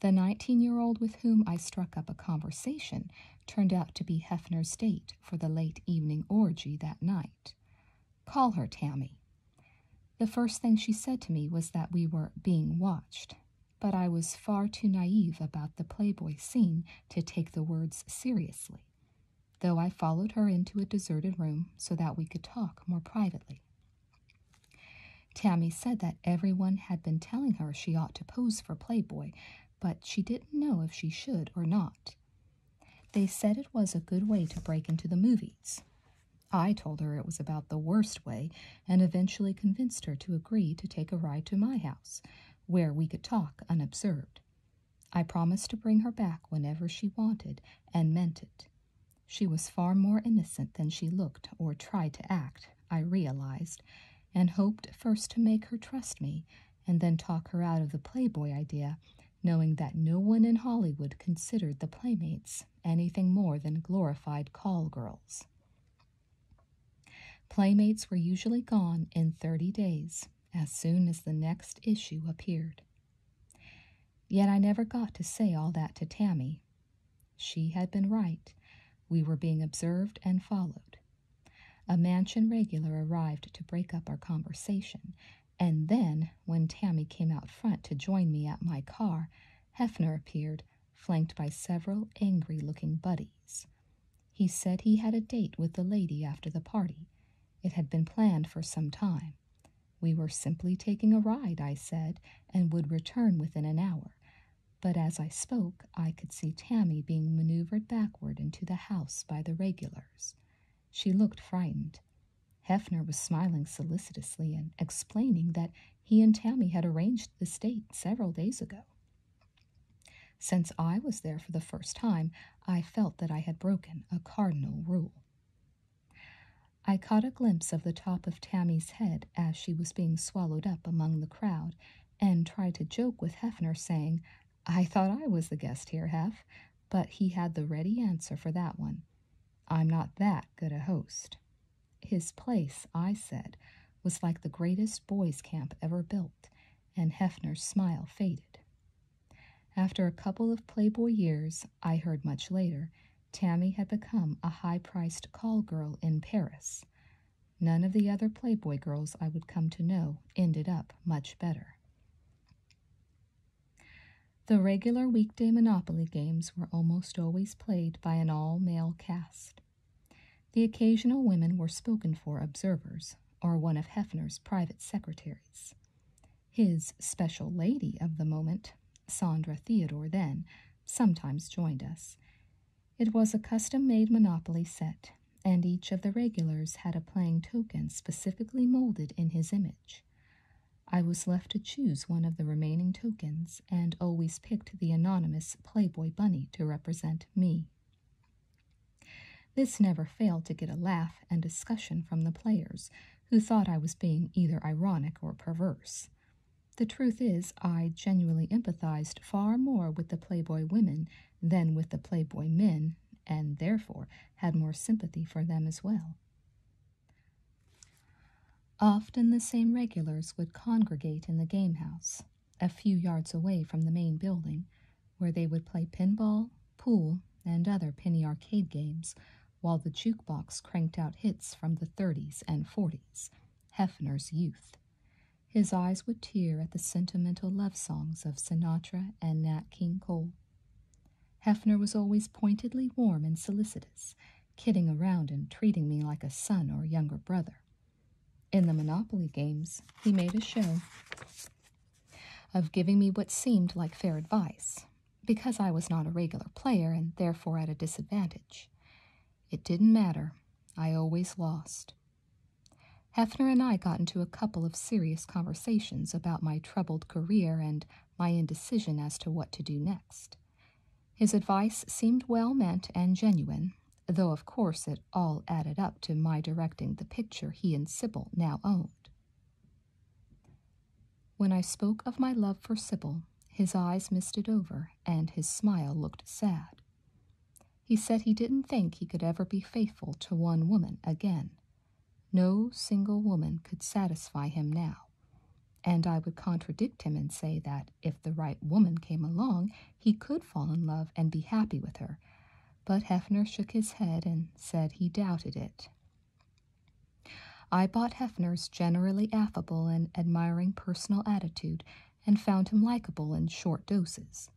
The 19 year old with whom I struck up a conversation turned out to be Hefner's date for the late evening orgy that night. Call her Tammy. The first thing she said to me was that we were being watched, but I was far too naive about the Playboy scene to take the words seriously, though I followed her into a deserted room so that we could talk more privately. Tammy said that everyone had been telling her she ought to pose for Playboy, but she didn't know if she should or not. They said it was a good way to break into the movies, I told her it was about the worst way and eventually convinced her to agree to take a ride to my house, where we could talk unobserved. I promised to bring her back whenever she wanted and meant it. She was far more innocent than she looked or tried to act, I realized, and hoped first to make her trust me and then talk her out of the Playboy idea, knowing that no one in Hollywood considered the Playmates anything more than glorified call girls. Playmates were usually gone in 30 days as soon as the next issue appeared. Yet I never got to say all that to Tammy. She had been right. We were being observed and followed. A mansion regular arrived to break up our conversation, and then, when Tammy came out front to join me at my car, Hefner appeared flanked by several angry looking buddies. He said he had a date with the lady after the party. It had been planned for some time. We were simply taking a ride, I said, and would return within an hour. But as I spoke, I could see Tammy being maneuvered backward into the house by the regulars. She looked frightened. Hefner was smiling solicitously and explaining that he and Tammy had arranged the state several days ago. Since I was there for the first time, I felt that I had broken a cardinal rule. I caught a glimpse of the top of Tammy's head as she was being swallowed up among the crowd and tried to joke with Hefner, saying, I thought I was the guest here, Hef, but he had the ready answer for that one. I'm not that good a host. His place, I said, was like the greatest boys' camp ever built, and Hefner's smile faded. After a couple of Playboy years, I heard much later, Tammy had become a high priced call girl in Paris. None of the other Playboy girls I would come to know ended up much better. The regular weekday Monopoly games were almost always played by an all male cast. The occasional women were spoken for observers, or one of Hefner's private secretaries. His special lady of the moment, Sandra Theodore, then, sometimes joined us. It was a custom made Monopoly set, and each of the regulars had a playing token specifically molded in his image. I was left to choose one of the remaining tokens and always picked the anonymous Playboy bunny to represent me. This never failed to get a laugh and discussion from the players, who thought I was being either ironic or perverse. The truth is, I genuinely empathized far more with the Playboy women than with the Playboy men, and therefore had more sympathy for them as well. Often the same regulars would congregate in the gamehouse, a few yards away from the main building, where they would play pinball, pool, and other penny arcade games, while the jukebox cranked out hits from the 30s and 40s, Hefner's youth. His eyes would tear at the sentimental love songs of Sinatra and Nat King Cole. Hefner was always pointedly warm and solicitous, kidding around and treating me like a son or younger brother. In the Monopoly games, he made a show of giving me what seemed like fair advice, because I was not a regular player and therefore at a disadvantage. It didn't matter, I always lost. Hefner and I got into a couple of serious conversations about my troubled career and my indecision as to what to do next. His advice seemed well meant and genuine, though of course it all added up to my directing the picture he and Sybil now owned. When I spoke of my love for Sybil, his eyes misted over and his smile looked sad. He said he didn't think he could ever be faithful to one woman again. No single woman could satisfy him now. And I would contradict him and say that if the right woman came along, he could fall in love and be happy with her. But Hefner shook his head and said he doubted it. I bought Hefner's generally affable and admiring personal attitude and found him likable in short doses.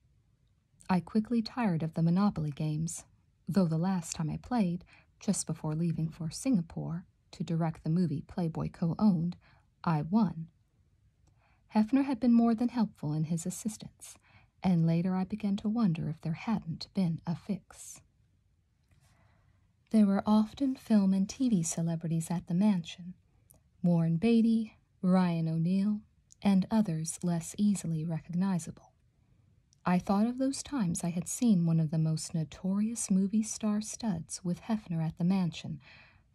I quickly tired of the Monopoly games, though the last time I played, just before leaving for Singapore, to direct the movie Playboy co owned, I Won. Hefner had been more than helpful in his assistance, and later I began to wonder if there hadn't been a fix. There were often film and TV celebrities at the mansion Warren Beatty, Ryan O'Neill, and others less easily recognizable. I thought of those times I had seen one of the most notorious movie star studs with Hefner at the mansion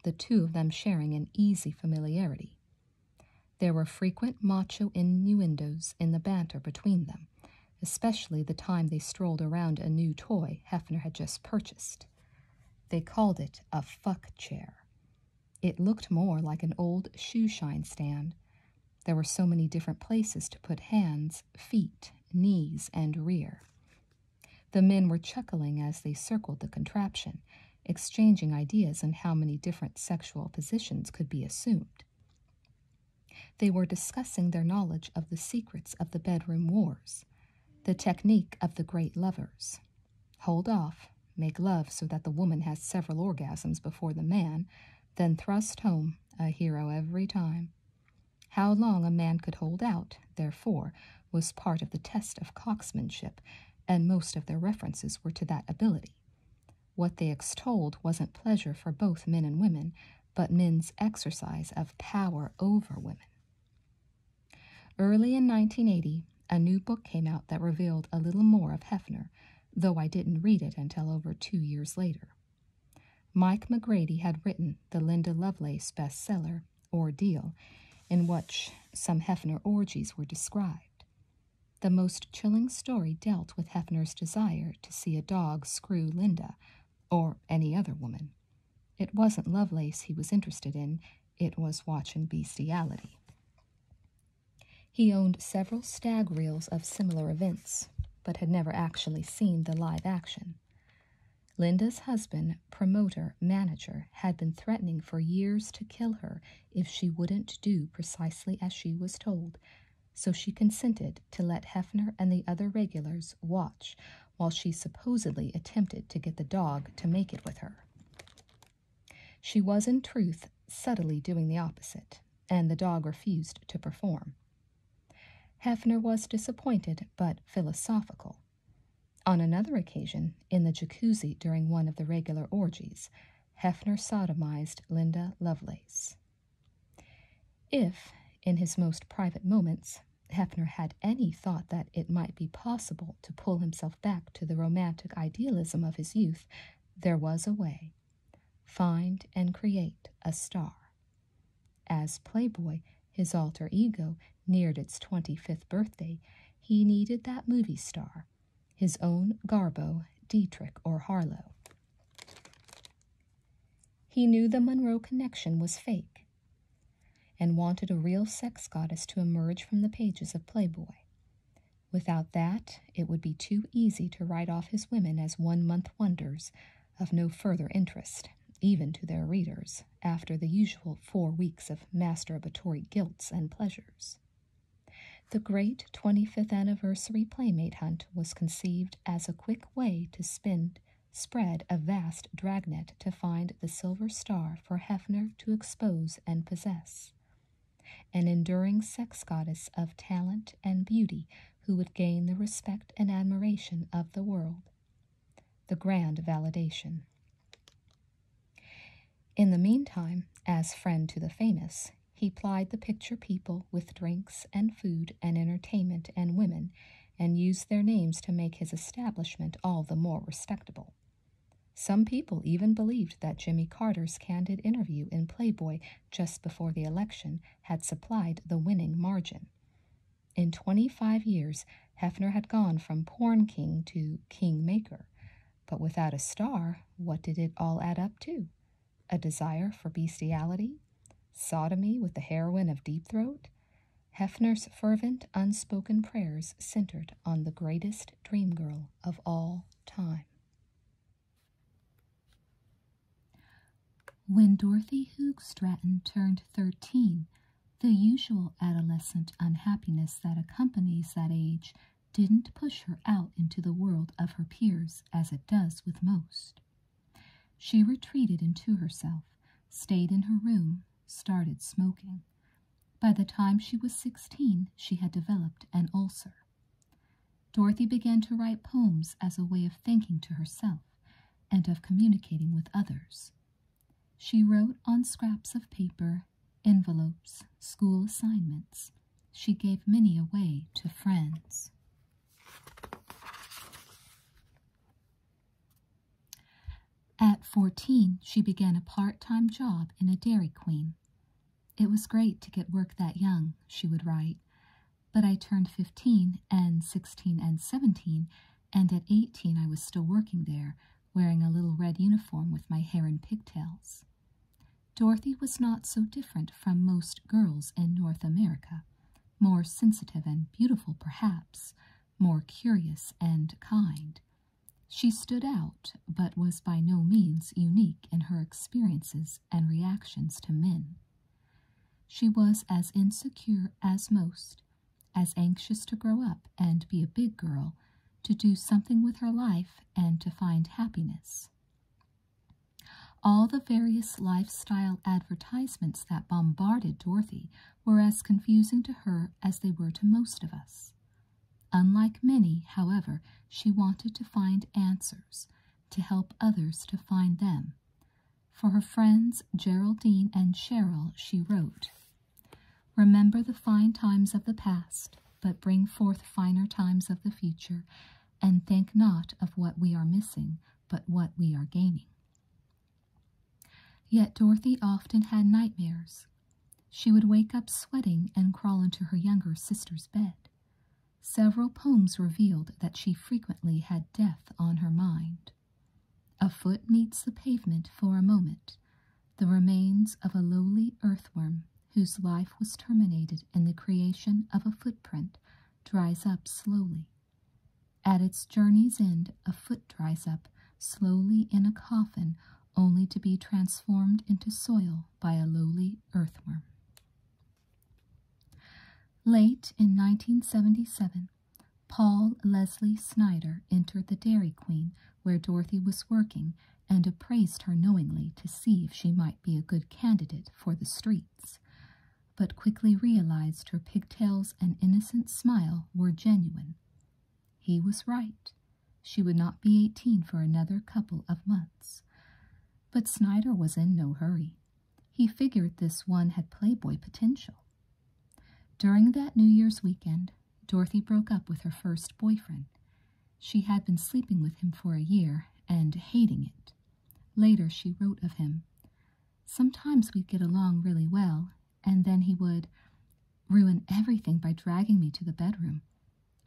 the two of them sharing an easy familiarity. There were frequent macho innuendos in the banter between them, especially the time they strolled around a new toy Hefner had just purchased. They called it a fuck chair. It looked more like an old shoe shine stand. There were so many different places to put hands, feet, knees, and rear. The men were chuckling as they circled the contraption, exchanging ideas on how many different sexual positions could be assumed. They were discussing their knowledge of the secrets of the bedroom wars, the technique of the great lovers. Hold off, make love so that the woman has several orgasms before the man, then thrust home a hero every time. How long a man could hold out, therefore, was part of the test of cocksmanship, and most of their references were to that ability. What they extolled wasn't pleasure for both men and women, but men's exercise of power over women. Early in 1980, a new book came out that revealed a little more of Hefner, though I didn't read it until over two years later. Mike McGrady had written the Linda Lovelace bestseller, ordeal in which some Hefner orgies were described. The most chilling story dealt with Hefner's desire to see a dog screw Linda or any other woman. It wasn't Lovelace he was interested in, it was watching bestiality. He owned several stag reels of similar events, but had never actually seen the live action. Linda's husband, promoter, manager, had been threatening for years to kill her if she wouldn't do precisely as she was told, so she consented to let Hefner and the other regulars watch while she supposedly attempted to get the dog to make it with her. She was, in truth, subtly doing the opposite, and the dog refused to perform. Hefner was disappointed but philosophical on another occasion, in the jacuzzi during one of the regular orgies, Hefner sodomized Linda Lovelace. If, in his most private moments, Hefner had any thought that it might be possible to pull himself back to the romantic idealism of his youth, there was a way. Find and create a star. As Playboy, his alter ego, neared its 25th birthday, he needed that movie star, his own Garbo, Dietrich, or Harlow. He knew the Monroe connection was fake and wanted a real sex goddess to emerge from the pages of Playboy. Without that, it would be too easy to write off his women as one month wonders of no further interest, even to their readers after the usual four weeks of masturbatory guilts and pleasures. The great 25th anniversary playmate hunt was conceived as a quick way to spin, spread a vast dragnet to find the silver star for Hefner to expose and possess. An enduring sex goddess of talent and beauty who would gain the respect and admiration of the world the grand validation. In the meantime, as friend to the famous, he plied the picture people with drinks and food and entertainment and women, and used their names to make his establishment all the more respectable. Some people even believed that Jimmy Carter's candid interview in Playboy just before the election had supplied the winning margin. In 25 years, Hefner had gone from porn king to king maker, But without a star, what did it all add up to? A desire for bestiality? Sodomy with the heroine of Deep Throat? Hefner's fervent, unspoken prayers centered on the greatest dream girl of all time. When Dorothy Hoog Stratton turned 13, the usual adolescent unhappiness that accompanies that age didn't push her out into the world of her peers as it does with most. She retreated into herself, stayed in her room, started smoking. By the time she was sixteen, she had developed an ulcer. Dorothy began to write poems as a way of thinking to herself and of communicating with others, she wrote on scraps of paper, envelopes, school assignments. She gave many away to friends. At 14, she began a part time job in a Dairy Queen. It was great to get work that young, she would write, but I turned 15 and 16 and 17, and at 18 I was still working there, wearing a little red uniform with my hair in pigtails. Dorothy was not so different from most girls in North America, more sensitive and beautiful, perhaps, more curious and kind. She stood out, but was by no means unique in her experiences and reactions to men. She was as insecure as most, as anxious to grow up and be a big girl, to do something with her life and to find happiness. All the various lifestyle advertisements that bombarded Dorothy were as confusing to her as they were to most of us. Unlike many, however, she wanted to find answers, to help others to find them. For her friends Geraldine and Cheryl, she wrote, Remember the fine times of the past, but bring forth finer times of the future, and think not of what we are missing, but what we are gaining. Yet Dorothy often had nightmares. She would wake up sweating and crawl into her younger sister's bed. Several poems revealed that she frequently had death on her mind. A foot meets the pavement for a moment, the remains of a lowly earthworm whose life was terminated in the creation of a footprint dries up slowly. At its journey's end, a foot dries up slowly in a coffin only to be transformed into soil by a lowly earthworm. Late in 1977, Paul Leslie Snyder entered the Dairy Queen where Dorothy was working and appraised her knowingly to see if she might be a good candidate for the streets, but quickly realized her pigtails and innocent smile were genuine. He was right. She would not be eighteen for another couple of months. But Snyder was in no hurry. He figured this one had playboy potential. During that New Year's weekend, Dorothy broke up with her first boyfriend. She had been sleeping with him for a year and hating it. Later she wrote of him. Sometimes we'd get along really well, and then he would ruin everything by dragging me to the bedroom.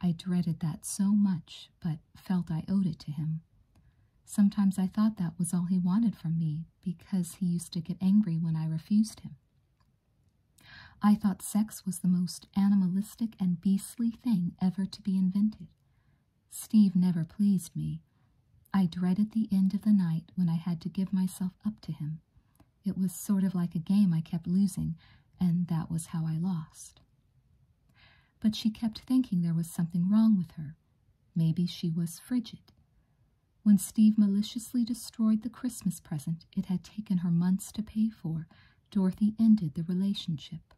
I dreaded that so much, but felt I owed it to him. Sometimes I thought that was all he wanted from me because he used to get angry when I refused him. I thought sex was the most animalistic and beastly thing ever to be invented. Steve never pleased me. I dreaded the end of the night when I had to give myself up to him. It was sort of like a game I kept losing, and that was how I lost. But she kept thinking there was something wrong with her. Maybe she was frigid. When Steve maliciously destroyed the Christmas present it had taken her months to pay for, Dorothy ended the relationship.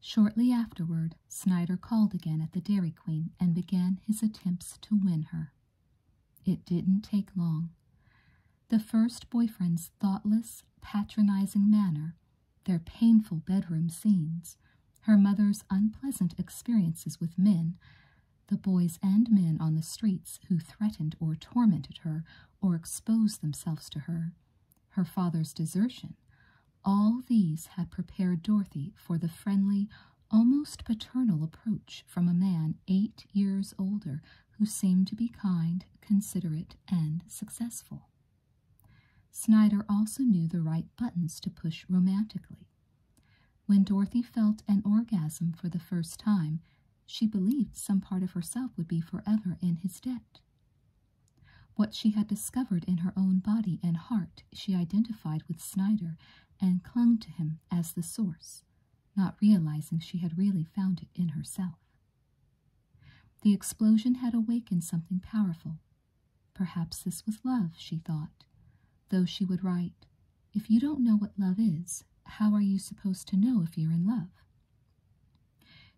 Shortly afterward, Snyder called again at the Dairy Queen and began his attempts to win her. It didn't take long. The first boyfriend's thoughtless, patronizing manner, their painful bedroom scenes, her mother's unpleasant experiences with men, the boys and men on the streets who threatened or tormented her or exposed themselves to her, her father's desertion, all these had prepared Dorothy for the friendly, almost paternal approach from a man eight years older who seemed to be kind, considerate, and successful. Snyder also knew the right buttons to push romantically. When Dorothy felt an orgasm for the first time, she believed some part of herself would be forever in his debt. What she had discovered in her own body and heart she identified with Snyder and clung to him as the source, not realizing she had really found it in herself. The explosion had awakened something powerful. Perhaps this was love, she thought, though she would write, If you don't know what love is, how are you supposed to know if you're in love?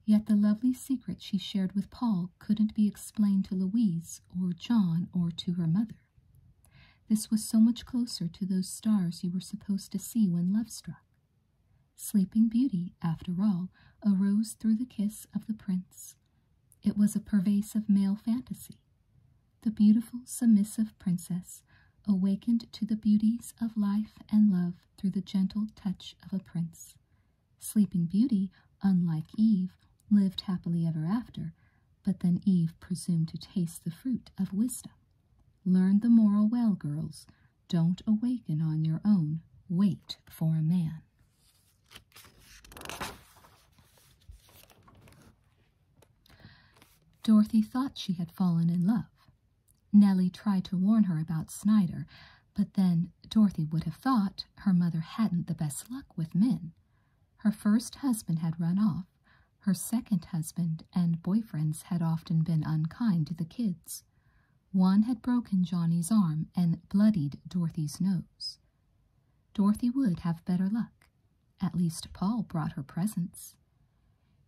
Yet the lovely secret she shared with Paul couldn't be explained to Louise or John or to her mother. This was so much closer to those stars you were supposed to see when love struck. Sleeping Beauty, after all, arose through the kiss of the prince. It was a pervasive male fantasy, the beautiful, submissive princess awakened to the beauties of life and love through the gentle touch of a prince. Sleeping Beauty, unlike Eve, lived happily ever after, but then Eve presumed to taste the fruit of wisdom. Learn the moral well, girls. Don't awaken on your own. Wait for a man. Dorothy thought she had fallen in love. Nellie tried to warn her about Snyder, but then Dorothy would have thought her mother hadn't the best luck with men. Her first husband had run off. Her second husband and boyfriends had often been unkind to the kids. One had broken Johnny's arm and bloodied Dorothy's nose. Dorothy would have better luck. At least Paul brought her presents.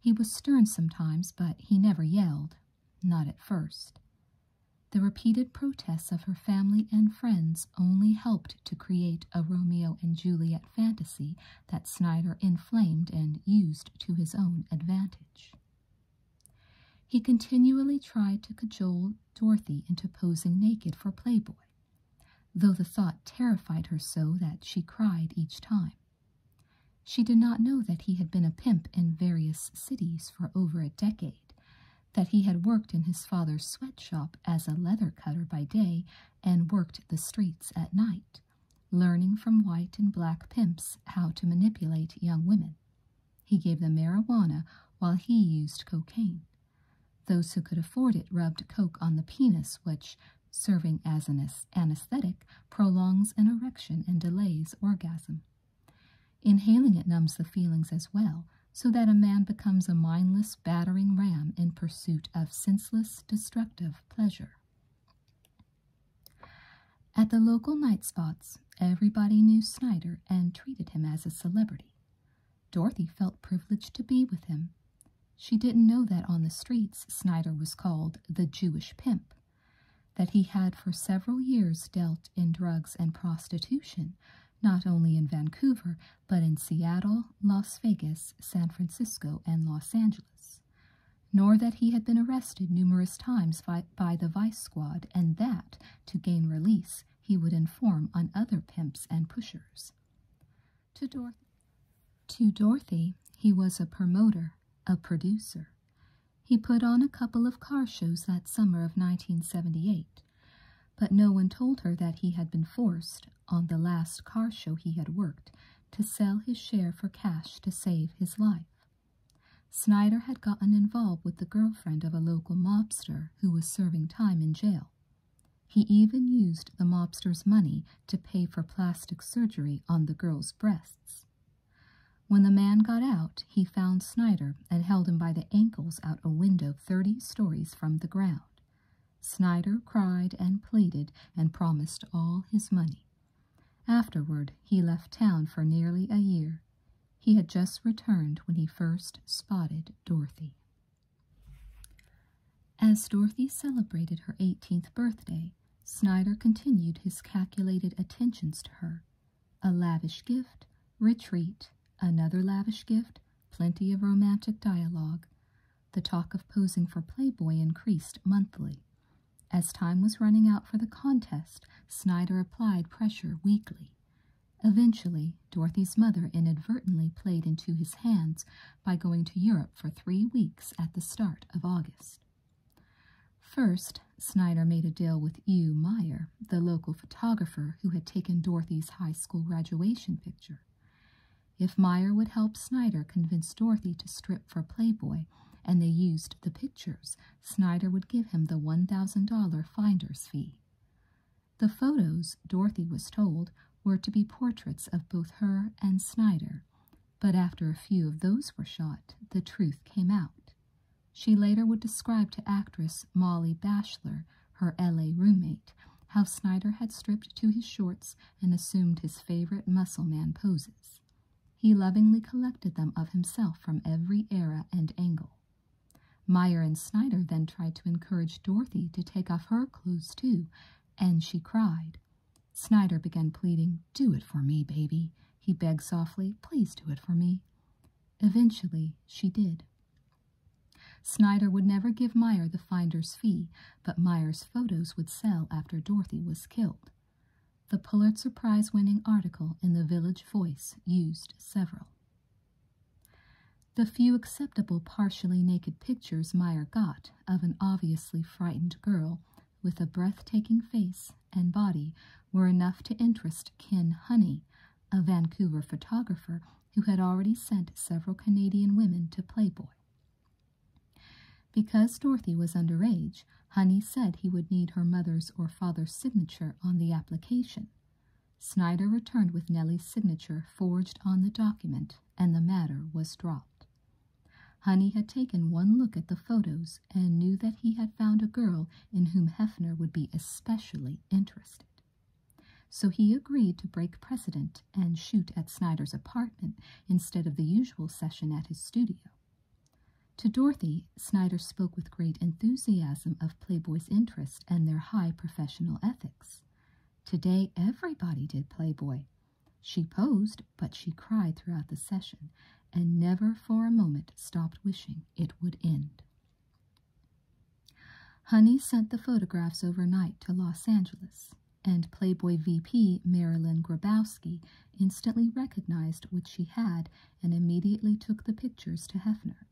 He was stern sometimes, but he never yelled, not at first. The repeated protests of her family and friends only helped to create a Romeo and Juliet fantasy that Snyder inflamed and used to his own advantage. He continually tried to cajole Dorothy into posing naked for Playboy, though the thought terrified her so that she cried each time. She did not know that he had been a pimp in various cities for over a decade, that he had worked in his father's sweatshop as a leather cutter by day and worked the streets at night, learning from white and black pimps how to manipulate young women. He gave them marijuana while he used cocaine. Those who could afford it rubbed coke on the penis, which serving as an anesthetic, prolongs an erection and delays orgasm. Inhaling it numbs the feelings as well, so that a man becomes a mindless, battering ram in pursuit of senseless, destructive pleasure. At the local night spots, everybody knew Snyder and treated him as a celebrity. Dorothy felt privileged to be with him, she didn't know that on the streets Snyder was called the Jewish pimp, that he had for several years dealt in drugs and prostitution, not only in Vancouver, but in Seattle, Las Vegas, San Francisco, and Los Angeles, nor that he had been arrested numerous times by, the vice squad, and that, to gain release, he would inform on other pimps and pushers. To Dorothy. To Dorothy, he was a promoter, a producer. He put on a couple of car shows that summer of 1978, but no one told her that he had been forced, on the last car show he had worked, to sell his share for cash to save his life. Snyder had gotten involved with the girlfriend of a local mobster who was serving time in jail. He even used the mobster's money to pay for plastic surgery on the girl's breasts. When the man got out, he found Snyder and held him by the ankles out a window thirty stories from the ground. Snyder cried and pleaded and promised all his money. Afterward, he left town for nearly a year. He had just returned when he first spotted Dorothy. As Dorothy celebrated her 18th birthday, Snyder continued his calculated attentions to her. A lavish gift, retreat, another lavish gift, plenty of romantic dialogue. The talk of posing for Playboy increased monthly. As time was running out for the contest, Snyder applied pressure weekly. Eventually, Dorothy's mother inadvertently played into his hands by going to Europe for three weeks at the start of August. First, Snyder made a deal with Hugh Meyer, the local photographer who had taken Dorothy's high school graduation picture. If Meyer would help Snyder convince Dorothy to strip for Playboy and they used the pictures, Snyder would give him the $1,000 finder's fee. The photos, Dorothy was told, were to be portraits of both her and Snyder, but after a few of those were shot, the truth came out. She later would describe to actress Molly Bashler, her LA roommate, how Snyder had stripped to his shorts and assumed his favorite muscle man poses. He lovingly collected them of himself from every era and angle. Meyer and Snyder then tried to encourage Dorothy to take off her clothes too, and she cried. Snyder began pleading. Do it for me, baby, he begged softly. Please do it for me. Eventually, she did. Snyder would never give Meyer the finder's fee, but Meyer's photos would sell after Dorothy was killed. The Pulitzer Prize winning article in the Village Voice used several. The few acceptable partially naked pictures Meyer got of an obviously frightened girl with a breathtaking face and body were enough to interest Ken Honey, a Vancouver photographer who had already sent several Canadian women to Playboy. Because Dorothy was underage, Honey said he would need her mother's or father's signature on the application. Snyder returned with Nellie's signature forged on the document, and the matter was dropped. Honey had taken one look at the photos and knew that he had found a girl in whom Hefner would be especially interested. So he agreed to break precedent and shoot at Snyder's apartment instead of the usual session at his studio. To Dorothy, Snyder spoke with great enthusiasm of Playboy's interest and their high professional ethics. Today, everybody did Playboy, she posed, but she cried throughout the session and never for a moment stopped wishing it would end. Honey sent the photographs overnight to Los Angeles, and Playboy VP Marilyn Grabowski instantly recognized what she had and immediately took the pictures to Hefner.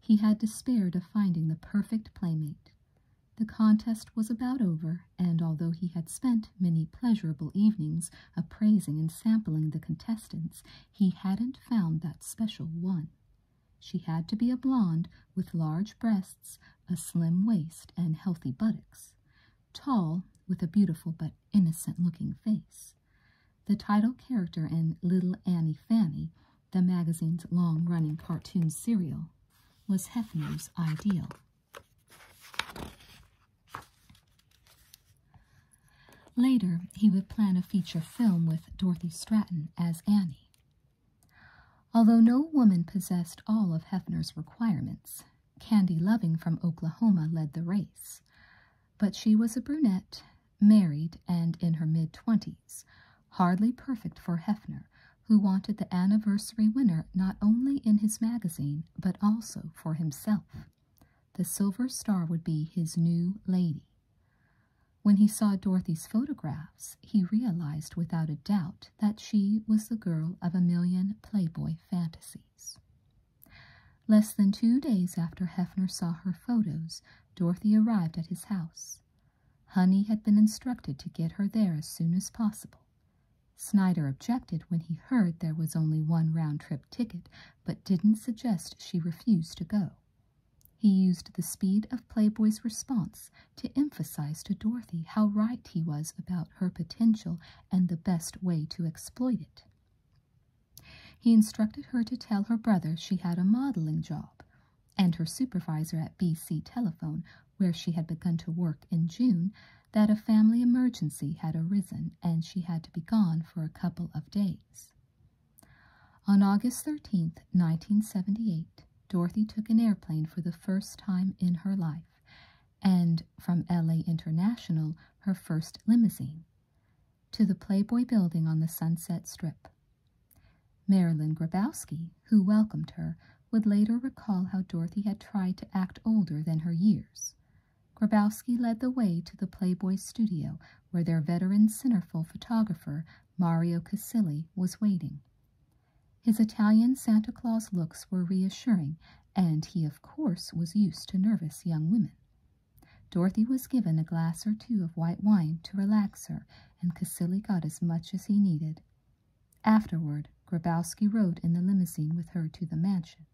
He had despaired of finding the perfect playmate. The contest was about over, and although he had spent many pleasurable evenings appraising and sampling the contestants, he hadn't found that special one. She had to be a blonde with large breasts, a slim waist, and healthy buttocks, tall with a beautiful but innocent looking face. The title character in Little Annie Fanny, the magazine's long running cartoon serial, was Hefner's ideal. Later, he would plan a feature film with Dorothy Stratton as Annie. Although no woman possessed all of Hefner's requirements, Candy Loving from Oklahoma led the race. But she was a brunette, married, and in her mid twenties, hardly perfect for Hefner, who wanted the anniversary winner not only in his magazine, but also for himself. The silver star would be his new lady. When he saw Dorothy's photographs, he realized without a doubt that she was the girl of a million Playboy fantasies. Less than two days after Hefner saw her photos, Dorothy arrived at his house. Honey had been instructed to get her there as soon as possible. Snyder objected when he heard there was only one round trip ticket, but didn't suggest she refuse to go. He used the speed of Playboy's response to emphasize to Dorothy how right he was about her potential and the best way to exploit it. He instructed her to tell her brother she had a modeling job, and her supervisor at BC Telephone where she had begun to work in June, that a family emergency had arisen and she had to be gone for a couple of days. On August thirteenth, 1978, Dorothy took an airplane for the first time in her life, and from LA International, her first limousine, to the Playboy building on the Sunset Strip. Marilyn Grabowski, who welcomed her, would later recall how Dorothy had tried to act older than her years. Grabowski led the way to the Playboy studio where their veteran centerfold photographer, Mario Casilli, was waiting. His Italian Santa Claus looks were reassuring, and he, of course, was used to nervous young women. Dorothy was given a glass or two of white wine to relax her, and Casilli got as much as he needed. Afterward, Grabowski rode in the limousine with her to the mansion.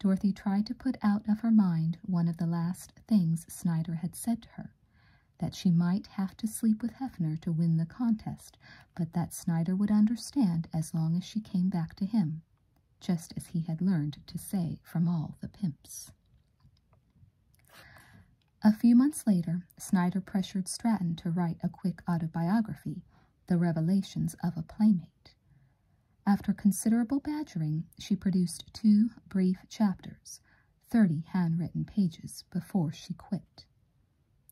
Dorothy tried to put out of her mind one of the last things Snyder had said to her that she might have to sleep with Hefner to win the contest, but that Snyder would understand as long as she came back to him, just as he had learned to say from all the pimps. A few months later, Snyder pressured Stratton to write a quick autobiography the revelations of a playmate. After considerable badgering, she produced two brief chapters, thirty handwritten pages, before she quit.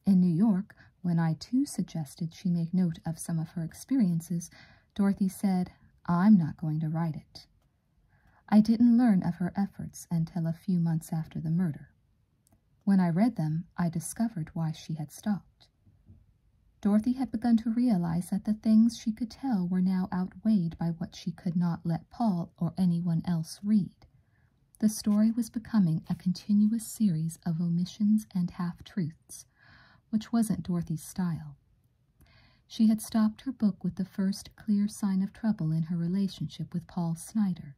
In New York, when I too suggested she make note of some of her experiences, Dorothy said, I'm not going to write it. I didn't learn of her efforts until a few months after the murder. When I read them, I discovered why she had stopped. Dorothy had begun to realize that the things she could tell were now outweighed by what she could not let Paul or anyone else read. The story was becoming a continuous series of omissions and half-truths, which wasn't Dorothy's style. She had stopped her book with the first clear sign of trouble in her relationship with Paul Snyder.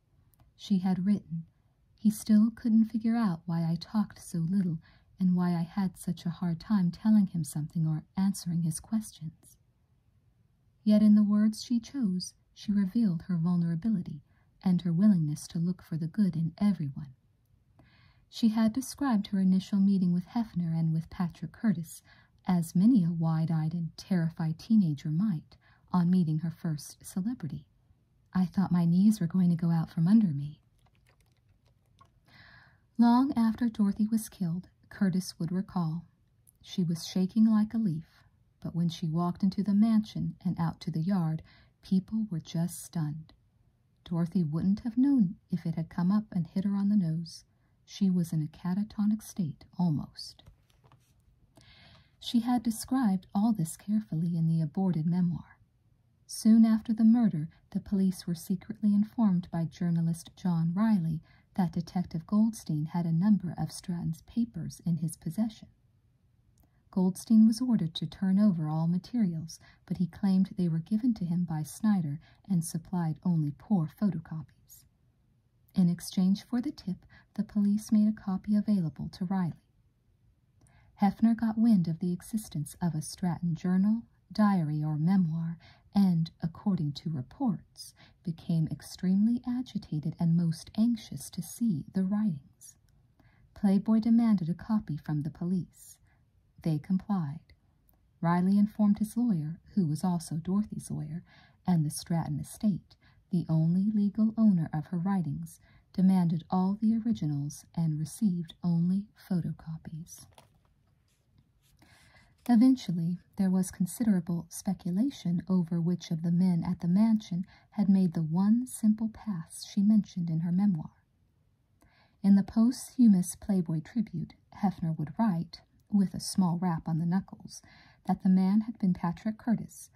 She had written, he still couldn't figure out why I talked so little and why I had such a hard time telling him something or answering his questions. Yet in the words she chose, she revealed her vulnerability and her willingness to look for the good in everyone. She had described her initial meeting with Hefner and with Patrick Curtis, as many a wide eyed and terrified teenager might on meeting her first celebrity, I thought my knees were going to go out from under me. Long after Dorothy was killed, Curtis would recall. She was shaking like a leaf, but when she walked into the mansion and out to the yard, people were just stunned. Dorothy wouldn't have known if it had come up and hit her on the nose. She was in a catatonic state, almost. She had described all this carefully in the aborted memoir. Soon after the murder, the police were secretly informed by journalist John Riley that Detective Goldstein had a number of Stratton's papers in his possession. Goldstein was ordered to turn over all materials, but he claimed they were given to him by Snyder and supplied only poor photocopies. In exchange for the tip, the police made a copy available to Riley. Hefner got wind of the existence of a Stratton journal, diary, or memoir, and, according to reports, became extremely agitated and most anxious to see the writings. Playboy demanded a copy from the police. They complied. Riley informed his lawyer, who was also Dorothy's lawyer, and the Stratton estate, the only legal owner of her writings, demanded all the originals and received only photocopies. Eventually, there was considerable speculation over which of the men at the mansion had made the one simple pass she mentioned in her memoir. In the posthumous Playboy tribute, Hefner would write, with a small rap on the knuckles, that the man had been Patrick Curtis,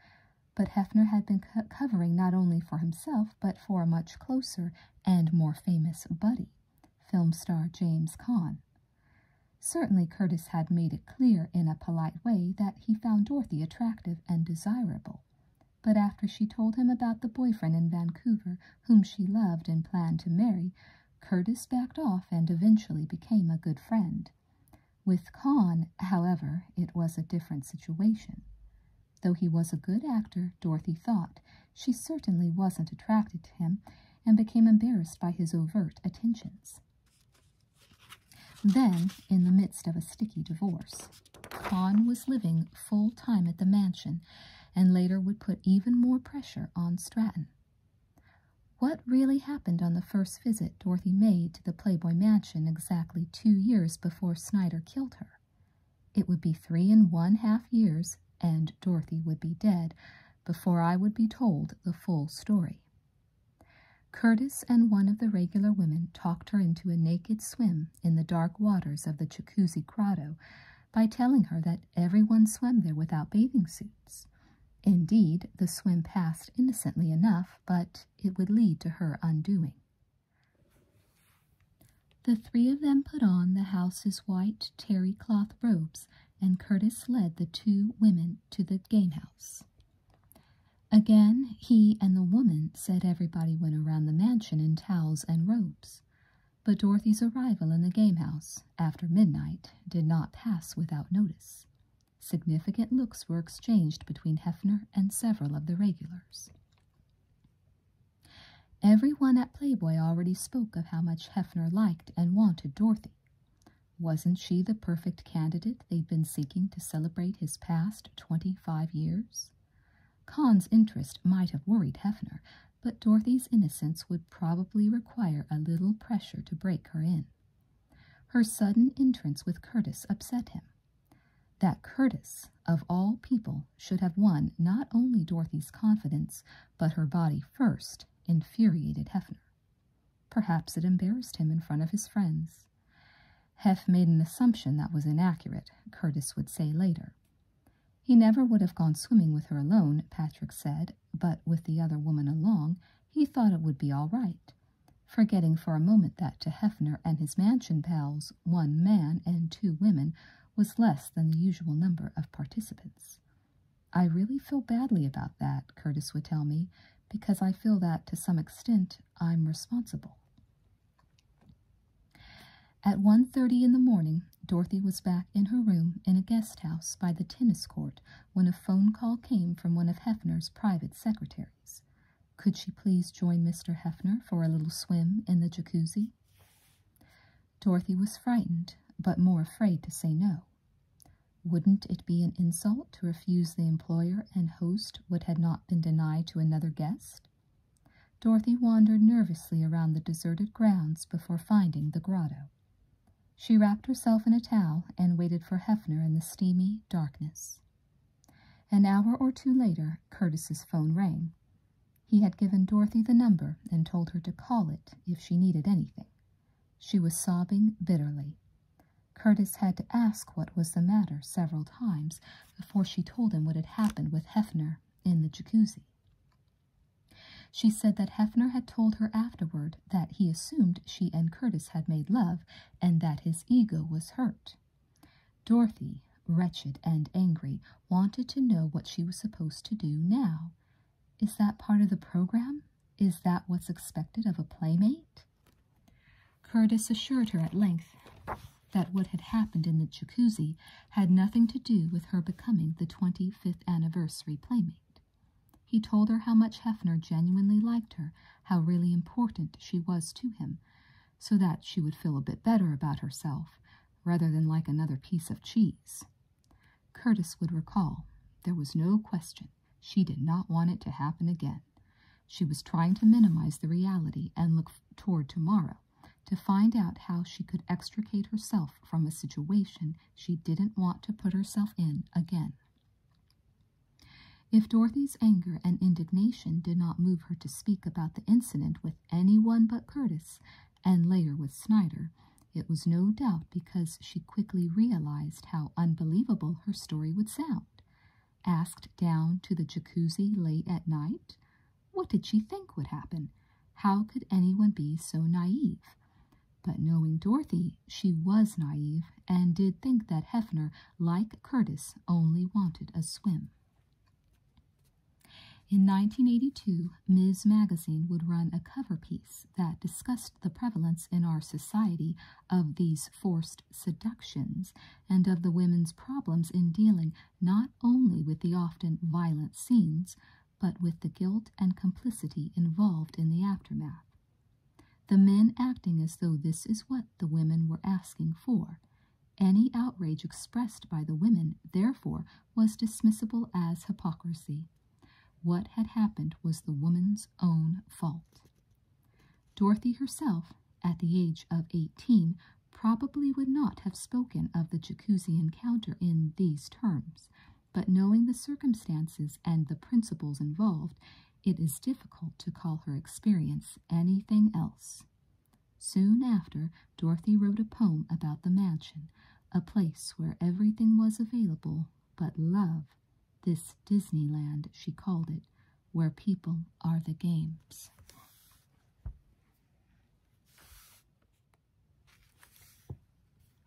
but Hefner had been covering not only for himself but for a much closer and more famous buddy, film star James Caan. Certainly, Curtis had made it clear in a polite way that he found Dorothy attractive and desirable. But after she told him about the boyfriend in Vancouver whom she loved and planned to marry, Curtis backed off and eventually became a good friend. With Con, however, it was a different situation. Though he was a good actor, Dorothy thought, she certainly wasn't attracted to him and became embarrassed by his overt attentions. Then, in the midst of a sticky divorce, Con was living full time at the mansion and later would put even more pressure on Stratton. What really happened on the first visit Dorothy made to the Playboy Mansion exactly two years before Snyder killed her? It would be three and one half years, and Dorothy would be dead, before I would be told the full story. Curtis and one of the regular women talked her into a naked swim in the dark waters of the Jacuzzi Grotto by telling her that everyone swam there without bathing suits. Indeed, the swim passed innocently enough, but it would lead to her undoing. The three of them put on the house's white terry cloth robes, and Curtis led the two women to the gamehouse. Again, he and the woman said everybody went around the mansion in towels and robes. But Dorothy's arrival in the gamehouse, after midnight, did not pass without notice. Significant looks were exchanged between Hefner and several of the regulars. Every one at Playboy already spoke of how much Hefner liked and wanted Dorothy. Wasn't she the perfect candidate they'd been seeking to celebrate his past twenty five years? Kahn's interest might have worried Hefner, but Dorothy's innocence would probably require a little pressure to break her in. Her sudden entrance with Curtis upset him. That Curtis, of all people, should have won not only Dorothy's confidence, but her body first, infuriated Hefner. Perhaps it embarrassed him in front of his friends. Heff made an assumption that was inaccurate, Curtis would say later. He never would have gone swimming with her alone, Patrick said, but with the other woman along, he thought it would be all right, forgetting for a moment that to Hefner and his mansion pals, one man and two women was less than the usual number of participants. I really feel badly about that, Curtis would tell me, because I feel that to some extent I'm responsible. At one thirty in the morning, Dorothy was back in her room in a guest house by the tennis court when a phone call came from one of Hefner's private secretaries. Could she please join Mr. Hefner for a little swim in the jacuzzi? Dorothy was frightened, but more afraid to say no. Wouldn't it be an insult to refuse the employer and host what had not been denied to another guest? Dorothy wandered nervously around the deserted grounds before finding the grotto. She wrapped herself in a towel and waited for Hefner in the steamy darkness. An hour or two later, Curtis's phone rang. He had given Dorothy the number and told her to call it if she needed anything. She was sobbing bitterly. Curtis had to ask what was the matter several times before she told him what had happened with Hefner in the jacuzzi. She said that Hefner had told her afterward that he assumed she and Curtis had made love and that his ego was hurt. Dorothy, wretched and angry, wanted to know what she was supposed to do now. Is that part of the program? Is that what's expected of a playmate? Curtis assured her at length that what had happened in the jacuzzi had nothing to do with her becoming the 25th anniversary playmate. He told her how much Hefner genuinely liked her, how really important she was to him, so that she would feel a bit better about herself, rather than like another piece of cheese. Curtis would recall there was no question she did not want it to happen again. She was trying to minimize the reality and look toward tomorrow to find out how she could extricate herself from a situation she didn't want to put herself in again. If Dorothy's anger and indignation did not move her to speak about the incident with any one but Curtis, and later with Snyder. It was no doubt because she quickly realized how unbelievable her story would sound. Asked down to the jacuzzi late at night, what did she think would happen? How could anyone be so naive? But knowing Dorothy, she was naive and did think that Hefner, like Curtis, only wanted a swim. In 1982, Ms. Magazine would run a cover piece that discussed the prevalence in our society of these forced seductions and of the women's problems in dealing not only with the often violent scenes, but with the guilt and complicity involved in the aftermath. The men acting as though this is what the women were asking for, any outrage expressed by the women, therefore, was dismissible as hypocrisy. What had happened was the woman's own fault. Dorothy herself, at the age of 18, probably would not have spoken of the jacuzzi encounter in these terms, but knowing the circumstances and the principles involved, it is difficult to call her experience anything else. Soon after, Dorothy wrote a poem about the mansion, a place where everything was available but love. This Disneyland, she called it, where people are the games.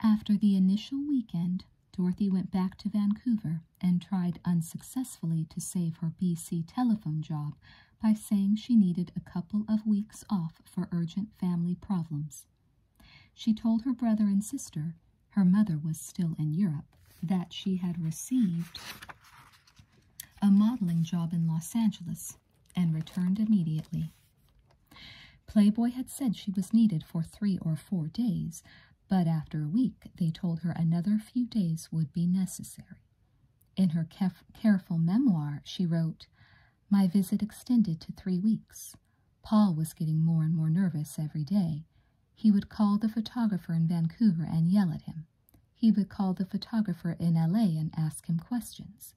After the initial weekend, Dorothy went back to Vancouver and tried unsuccessfully to save her BC telephone job by saying she needed a couple of weeks off for urgent family problems. She told her brother and sister, her mother was still in Europe, that she had received a modeling job in Los Angeles and returned immediately. Playboy had said she was needed for three or four days, but after a week they told her another few days would be necessary. In her careful memoir, she wrote, My visit extended to three weeks. Paul was getting more and more nervous every day. He would call the photographer in Vancouver and yell at him. He would call the photographer in LA and ask him questions.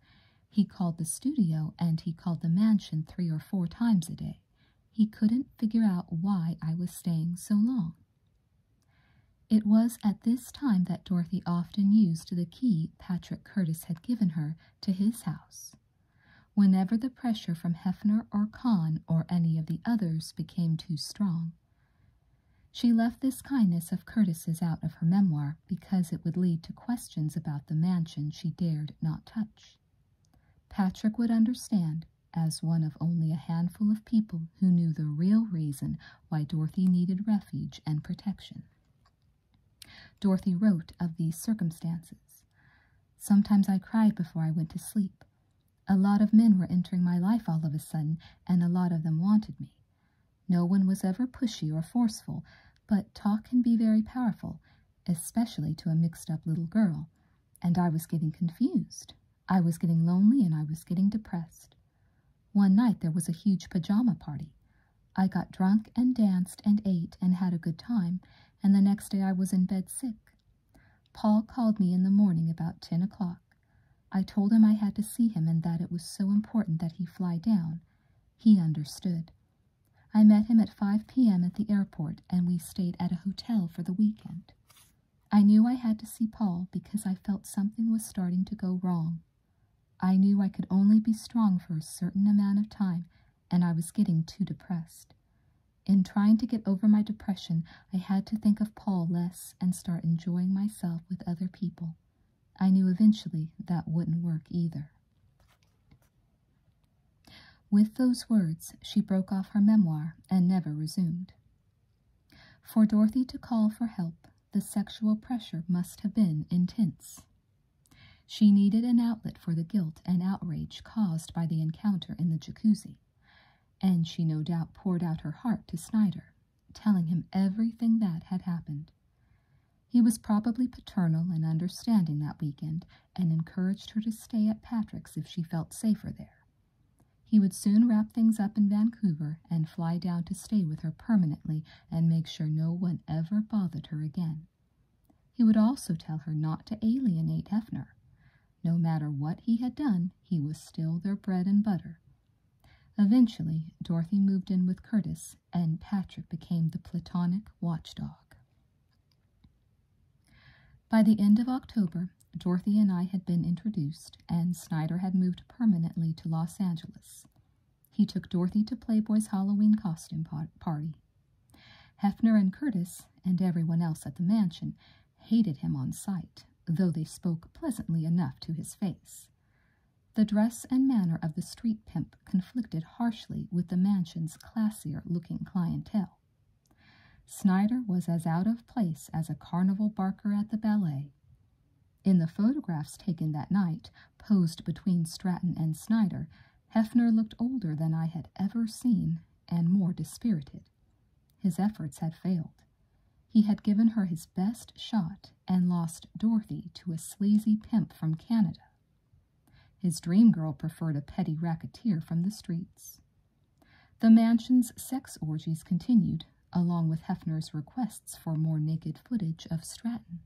He called the studio and he called the mansion three or four times a day. He couldn't figure out why I was staying so long. It was at this time that Dorothy often used the key Patrick Curtis had given her to his house. Whenever the pressure from Hefner or Kahn or any of the others became too strong, she left this kindness of Curtis's out of her memoir because it would lead to questions about the mansion she dared not touch. Patrick would understand, as one of only a handful of people who knew the real reason why Dorothy needed refuge and protection. Dorothy wrote of these circumstances. Sometimes I cried before I went to sleep. A lot of men were entering my life all of a sudden, and a lot of them wanted me. No one was ever pushy or forceful, but talk can be very powerful, especially to a mixed up little girl, and I was getting confused. I was getting lonely and I was getting depressed. One night there was a huge pajama party. I got drunk and danced and ate and had a good time, and the next day I was in bed sick. Paul called me in the morning about ten o'clock. I told him I had to see him and that it was so important that he fly down. He understood. I met him at 5 p.m. at the airport, and we stayed at a hotel for the weekend. I knew I had to see Paul because I felt something was starting to go wrong. I knew I could only be strong for a certain amount of time, and I was getting too depressed. In trying to get over my depression, I had to think of Paul less and start enjoying myself with other people. I knew eventually that wouldn't work either. With those words, she broke off her memoir and never resumed. For Dorothy to call for help, the sexual pressure must have been intense. She needed an outlet for the guilt and outrage caused by the encounter in the jacuzzi, and she no doubt poured out her heart to Snyder, telling him everything that had happened. He was probably paternal and understanding that weekend and encouraged her to stay at Patrick's if she felt safer there. He would soon wrap things up in Vancouver and fly down to stay with her permanently and make sure no one ever bothered her again. He would also tell her not to alienate Hefner. No matter what he had done, he was still their bread and butter. Eventually, Dorothy moved in with Curtis, and Patrick became the platonic watchdog. By the end of October, Dorothy and I had been introduced, and Snyder had moved permanently to Los Angeles. He took Dorothy to Playboy's Halloween costume party. Hefner and Curtis, and everyone else at the mansion, hated him on sight, though they spoke pleasantly enough to his face. The dress and manner of the street pimp conflicted harshly with the mansion's classier looking clientele. Snyder was as out of place as a carnival barker at the ballet. In the photographs taken that night, posed between Stratton and Snyder, Hefner looked older than I had ever seen and more dispirited. His efforts had failed. He had given her his best shot and lost Dorothy to a sleazy pimp from Canada. His dream girl preferred a petty racketeer from the streets. The mansion's sex orgies continued, along with Hefner's requests for more naked footage of Stratton.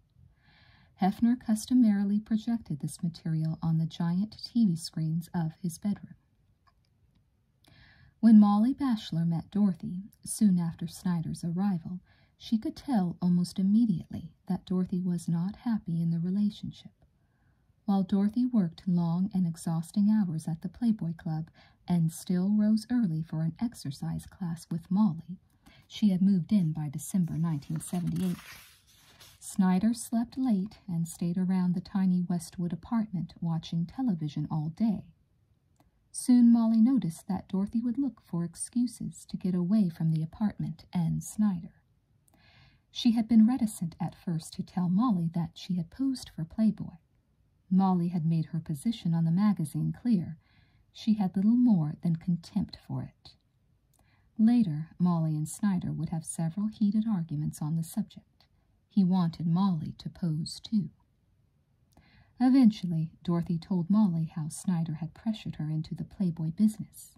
Hefner customarily projected this material on the giant TV screens of his bedroom. When Molly Bachelor met Dorothy soon after Snyder's arrival, she could tell almost immediately that Dorothy was not happy in the relationship. While Dorothy worked long and exhausting hours at the Playboy Club and still rose early for an exercise class with Molly, she had moved in by December 1978. Snyder slept late and stayed around the tiny Westwood apartment watching television all day. Soon Molly noticed that Dorothy would look for excuses to get away from the apartment and Snyder. She had been reticent at first to tell Molly that she had posed for Playboy. Molly had made her position on the magazine clear, she had little more than contempt for it. Later, Molly and Snyder would have several heated arguments on the subject. He wanted Molly to pose too. Eventually, Dorothy told Molly how Snyder had pressured her into the Playboy business.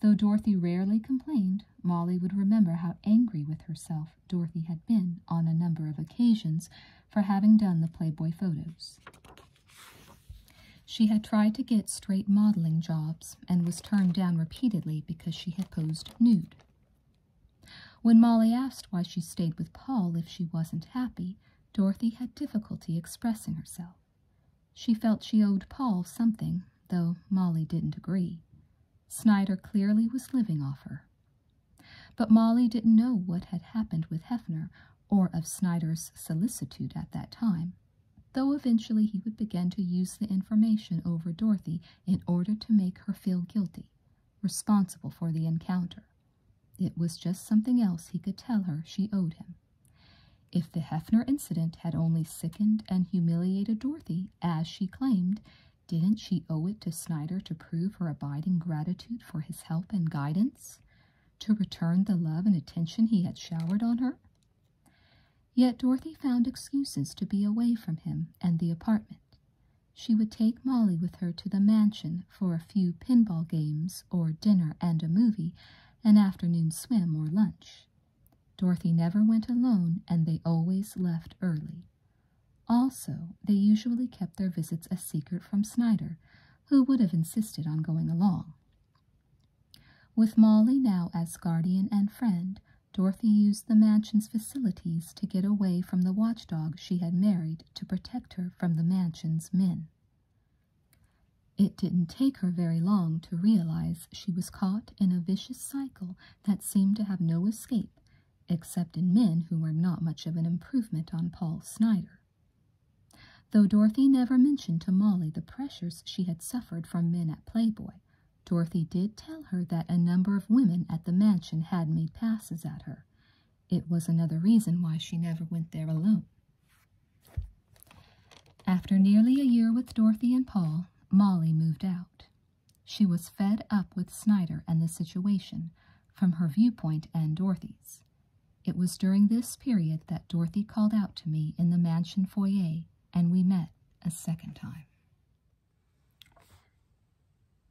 Though Dorothy rarely complained, Molly would remember how angry with herself Dorothy had been on a number of occasions for having done the Playboy photos. She had tried to get straight modeling jobs and was turned down repeatedly because she had posed nude. When Molly asked why she stayed with Paul if she wasn't happy, Dorothy had difficulty expressing herself. She felt she owed Paul something, though Molly didn't agree. Snyder clearly was living off her. But Molly didn't know what had happened with Hefner or of Snyder's solicitude at that time, though eventually he would begin to use the information over Dorothy in order to make her feel guilty, responsible for the encounter. It was just something else he could tell her she owed him. If the Hefner incident had only sickened and humiliated Dorothy, as she claimed, didn't she owe it to Snyder to prove her abiding gratitude for his help and guidance? to return the love and attention he had showered on her? Yet Dorothy found excuses to be away from him and the apartment. She would take Molly with her to the mansion for a few pinball games or dinner and a movie, an afternoon swim or lunch. Dorothy never went alone, and they always left early. Also, they usually kept their visits a secret from Snyder, who would have insisted on going along. With Molly now as guardian and friend, Dorothy used the mansion's facilities to get away from the watchdog she had married to protect her from the mansion's men. It didn't take her very long to realize she was caught in a vicious cycle that seemed to have no escape, except in men who were not much of an improvement on Paul Snyder. Though Dorothy never mentioned to Molly the pressures she had suffered from men at Playboy, Dorothy did tell her that a number of women at the mansion had made passes at her. It was another reason why she never went there alone. After nearly a year with Dorothy and Paul, Molly moved out. She was fed up with Snyder and the situation, from her viewpoint and Dorothy's. It was during this period that Dorothy called out to me in the mansion foyer, and we met a second time.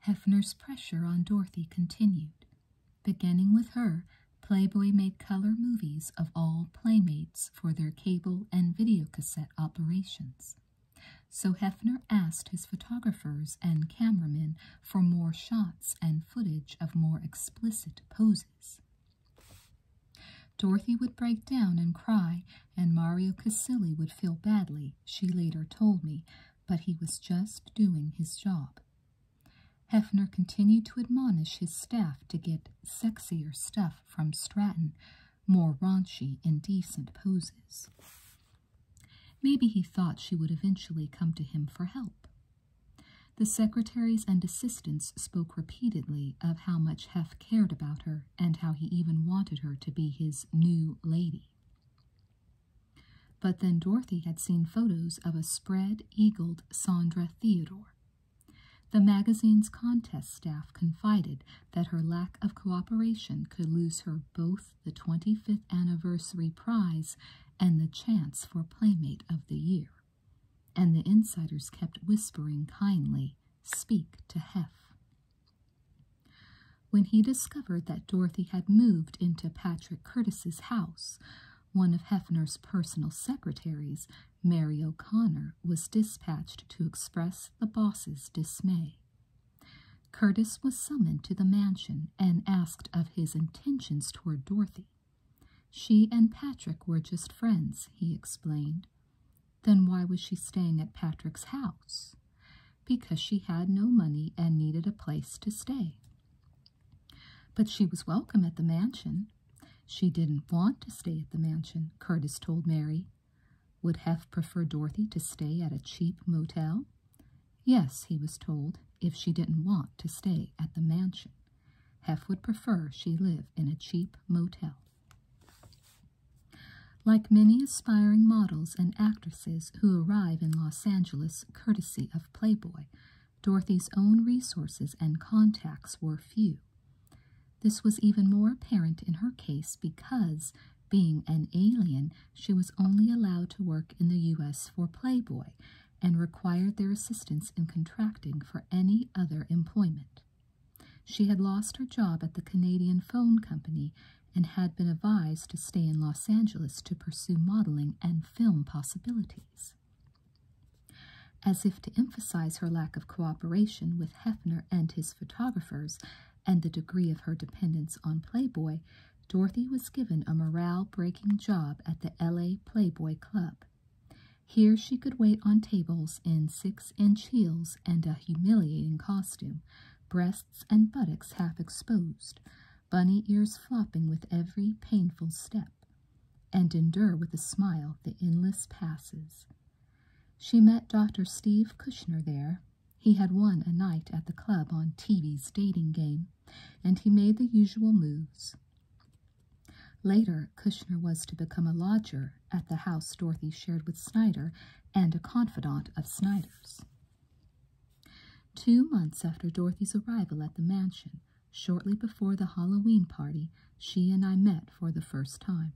Hefner's pressure on Dorothy continued. Beginning with her, Playboy made color movies of all playmates for their cable and videocassette operations. So Hefner asked his photographers and cameramen for more shots and footage of more explicit poses houses. Dorothy would break down and cry, and Mario Casilli would feel badly, she later told me, but he was just doing his job. Hefner continued to admonish his staff to get sexier stuff from Stratton, more raunchy, indecent poses. Maybe he thought she would eventually come to him for help. The secretaries and assistants spoke repeatedly of how much Hef cared about her and how he even wanted her to be his new lady. But then Dorothy had seen photos of a spread eagled Sandra Theodore. The magazine's contest staff confided that her lack of cooperation could lose her both the 25th anniversary prize and the chance for Playmate of the Year and the insiders kept whispering kindly, Speak to Hef. When he discovered that Dorothy had moved into Patrick Curtis's house, one of Hefner's personal secretaries, Mary O'Connor, was dispatched to express the boss's dismay. Curtis was summoned to the mansion and asked of his intentions toward Dorothy. She and Patrick were just friends, he explained. Then why was she staying at Patrick's house? Because she had no money and needed a place to stay. But she was welcome at the mansion. She didn't want to stay at the mansion, Curtis told Mary. Would Hef prefer Dorothy to stay at a cheap motel? Yes, he was told, if she didn't want to stay at the mansion. Heff would prefer she live in a cheap motel. Like many aspiring models and actresses who arrive in Los Angeles courtesy of Playboy, Dorothy's own resources and contacts were few. This was even more apparent in her case because, being an alien, she was only allowed to work in the U.S. for Playboy and required their assistance in contracting for any other employment. She had lost her job at the Canadian Phone Company and had been advised to stay in Los Angeles to pursue modeling and film possibilities. As if to emphasize her lack of cooperation with Hefner and his photographers and the degree of her dependence on Playboy, Dorothy was given a morale breaking job at the LA Playboy Club. Here she could wait on tables in six inch heels and a humiliating costume, breasts and buttocks half exposed, bunny ears flopping with every painful step, and endure with a smile the endless passes. She met Dr. Steve Kushner there. He had won a night at the club on TV's dating game, and he made the usual moves. Later, Kushner was to become a lodger at the house Dorothy shared with Snyder and a confidant of Snyder's. Two months after Dorothy's arrival at the mansion, shortly before the Halloween party, she and I met for the first time.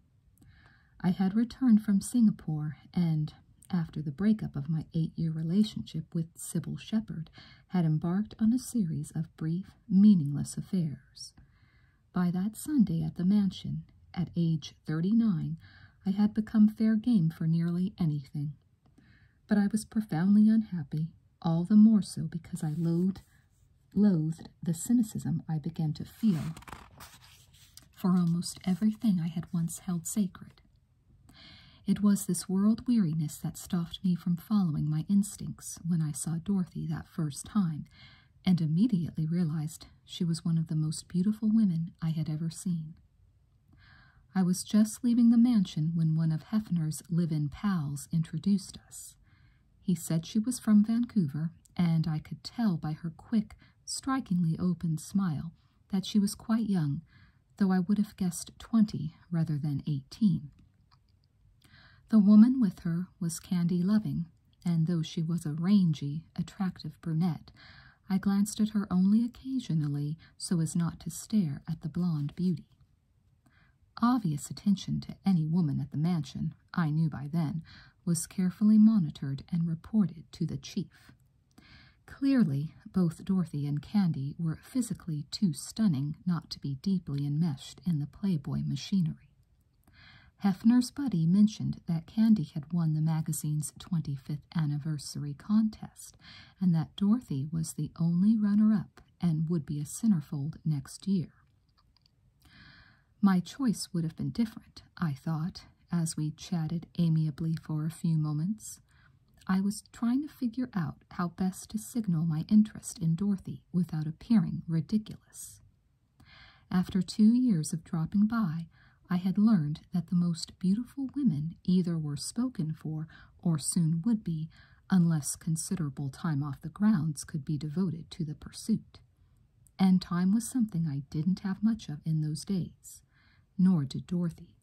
I had returned from Singapore and, after the breakup of my eight year relationship with Sybil Shepard, had embarked on a series of brief meaningless affairs. By that Sunday at the mansion, at age thirty nine, I had become fair game for nearly anything. But I was profoundly unhappy, all the more so because I loathed, loathed the cynicism I began to feel for almost everything I had once held sacred. It was this world weariness that stopped me from following my instincts when I saw Dorothy that first time, and immediately realized she was one of the most beautiful women I had ever seen. I was just leaving the mansion when one of Hefner's live in pals introduced us. He said she was from Vancouver, and I could tell by her quick, strikingly open smile that she was quite young, though I would have guessed twenty rather than eighteen. The woman with her was Candy Loving, and though she was a rangy, attractive brunette, I glanced at her only occasionally so as not to stare at the blonde beauty. Obvious attention to any woman at the mansion, I knew by then, was carefully monitored and reported to the chief. Clearly, both Dorothy and Candy were physically too stunning not to be deeply enmeshed in the Playboy machinery. Hefner's buddy mentioned that Candy had won the magazine's 25th anniversary contest and that Dorothy was the only runner up and would be a centerfold next year. My choice would have been different, I thought, as we chatted amiably for a few moments. I was trying to figure out how best to signal my interest in Dorothy without appearing ridiculous. After two years of dropping by, I had learned that the most beautiful women either were spoken for or soon would be, unless considerable time off the grounds could be devoted to the pursuit. And time was something I didn't have much of in those days, nor did Dorothy.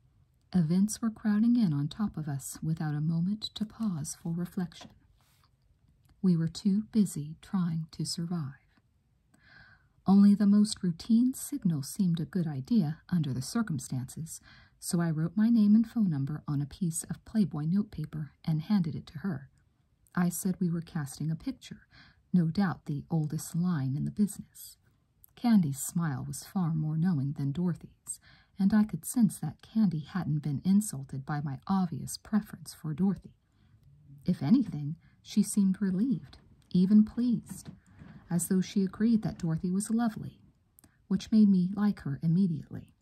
Events were crowding in on top of us without a moment to pause for reflection. We were too busy trying to survive. Only the most routine signal seemed a good idea under the circumstances, so I wrote my name and phone number on a piece of Playboy notepaper and handed it to her. I said we were casting a picture, no doubt the oldest line in the business. Candy's smile was far more knowing than Dorothy's, and I could sense that Candy hadn't been insulted by my obvious preference for Dorothy. If anything, she seemed relieved, even pleased, as though she agreed that Dorothy was lovely, which made me like her immediately.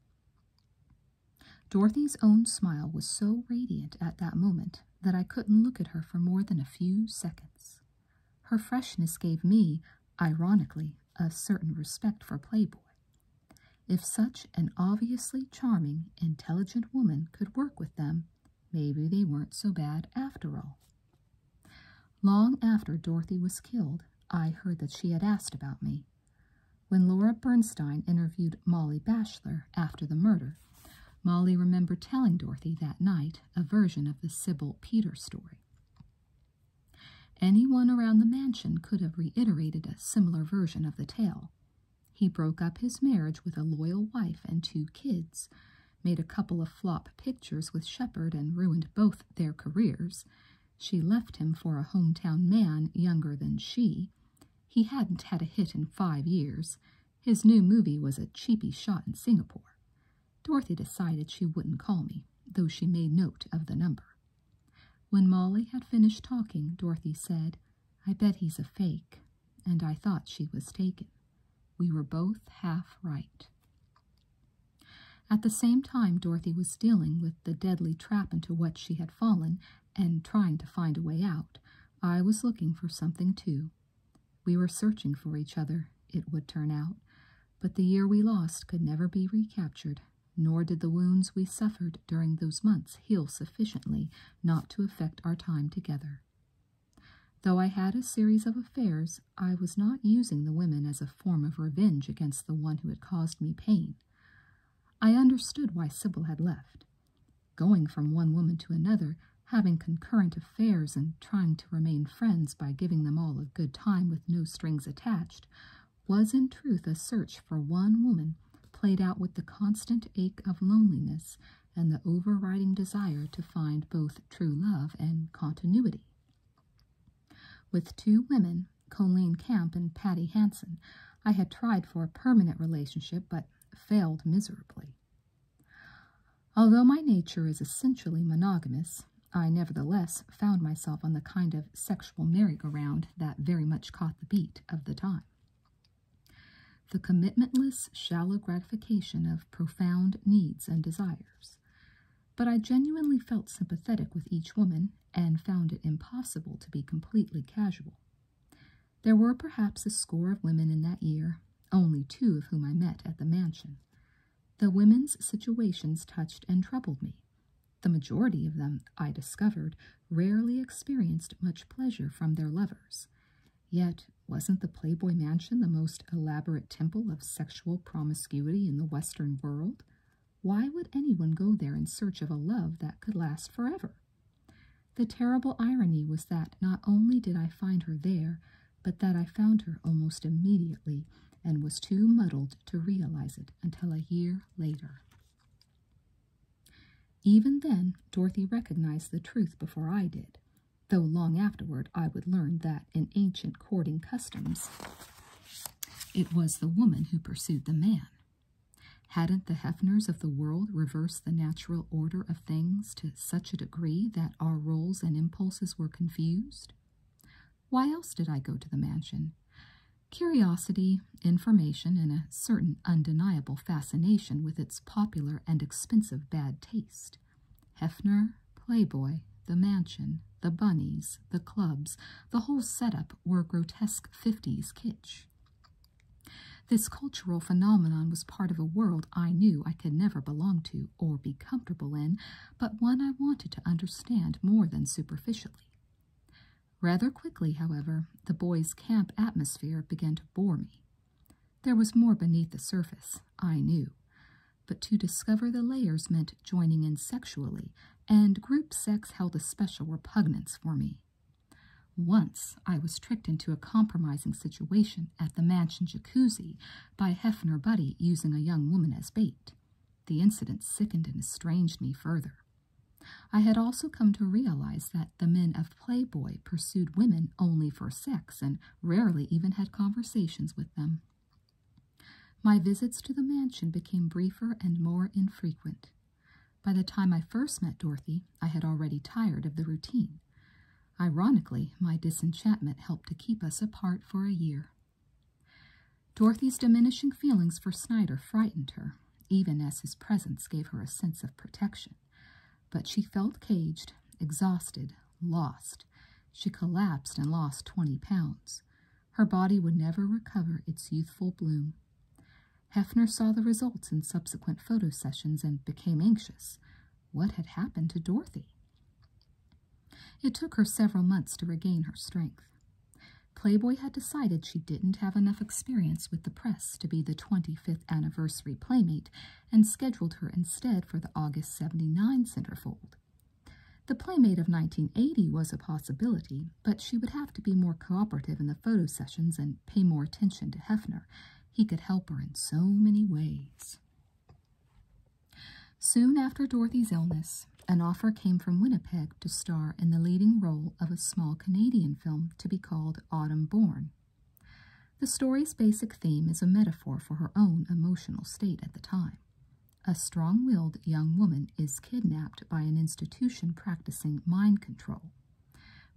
Dorothy's own smile was so radiant at that moment that I couldn't look at her for more than a few seconds. Her freshness gave me, ironically, a certain respect for Playboy, if such an obviously charming, intelligent woman could work with them, maybe they weren't so bad after all. Long after Dorothy was killed, I heard that she had asked about me. When Laura Bernstein interviewed Molly Bashler after the murder, Molly remembered telling Dorothy that night a version of the Sybil Peters story. Anyone around the mansion could have reiterated a similar version of the tale. He broke up his marriage with a loyal wife and two kids, made a couple of flop pictures with Shepard and ruined both their careers. She left him for a hometown man younger than she. He hadn't had a hit in five years. His new movie was a cheapy shot in Singapore. Dorothy decided she wouldn't call me, though she made note of the number. When Molly had finished talking, Dorothy said, I bet he's a fake, and I thought she was taken. We were both half right. At the same time, Dorothy was dealing with the deadly trap into which she had fallen and trying to find a way out. I was looking for something, too. We were searching for each other, it would turn out, but the year we lost could never be recaptured, nor did the wounds we suffered during those months heal sufficiently not to affect our time together. Though I had a series of affairs, I was not using the women as a form of revenge against the one who had caused me pain. I understood why Sybil had left. Going from one woman to another, having concurrent affairs and trying to remain friends by giving them all a good time with no strings attached was in truth a search for one woman played out with the constant ache of loneliness and the overriding desire to find both true love and continuity. With two women, Colleen Camp and Patty Hanson, I had tried for a permanent relationship but failed miserably. Although my nature is essentially monogamous, I nevertheless found myself on the kind of sexual merry-go-round that very much caught the beat of the time. The commitmentless, shallow gratification of profound needs and desires. But I genuinely felt sympathetic with each woman and found it impossible to be completely casual. There were perhaps a score of women in that year, only two of whom I met at the mansion. The women's situations touched and troubled me, the majority of them, I discovered, rarely experienced much pleasure from their lovers. Yet, wasn't the Playboy Mansion the most elaborate temple of sexual promiscuity in the Western world? Why would anyone go there in search of a love that could last forever? The terrible irony was that not only did I find her there, but that I found her almost immediately and was too muddled to realize it until a year later. Even then, Dorothy recognized the truth before I did, though long afterward I would learn that in ancient courting customs, it was the woman who pursued the man. Hadn't the Hefners of the world reversed the natural order of things to such a degree that our roles and impulses were confused? Why else did I go to the mansion? Curiosity, information, and a certain undeniable fascination with its popular and expensive bad taste. Hefner, Playboy, the mansion, the bunnies, the clubs, the whole setup were grotesque 50s kitsch. This cultural phenomenon was part of a world I knew I could never belong to or be comfortable in, but one I wanted to understand more than superficially. Rather quickly, however, the boys' camp atmosphere began to bore me. There was more beneath the surface, I knew, but to discover the layers meant joining in sexually, and group sex held a special repugnance for me. Once I was tricked into a compromising situation at the mansion jacuzzi by Hefner Buddy using a young woman as bait. The incident sickened and estranged me further. I had also come to realize that the men of Playboy pursued women only for sex and rarely even had conversations with them. My visits to the mansion became briefer and more infrequent. By the time I first met Dorothy, I had already tired of the routine. Ironically, my disenchantment helped to keep us apart for a year. Dorothy's diminishing feelings for Snyder frightened her even as his presence gave her a sense of protection. But she felt caged, exhausted, lost. She collapsed and lost twenty pounds. Her body would never recover its youthful bloom. Hefner saw the results in subsequent photo sessions and became anxious. What had happened to Dorothy? It took her several months to regain her strength. Playboy had decided she didn't have enough experience with the press to be the 25th anniversary Playmate and scheduled her instead for the August 79 centerfold. The Playmate of 1980 was a possibility, but she would have to be more cooperative in the photo sessions and pay more attention to Hefner. He could help her in so many ways. Soon after Dorothy's illness, an offer came from Winnipeg to star in the leading role of a small Canadian film to be called Autumn Born. The story's basic theme is a metaphor for her own emotional state at the time. A strong willed young woman is kidnapped by an institution practicing mind control.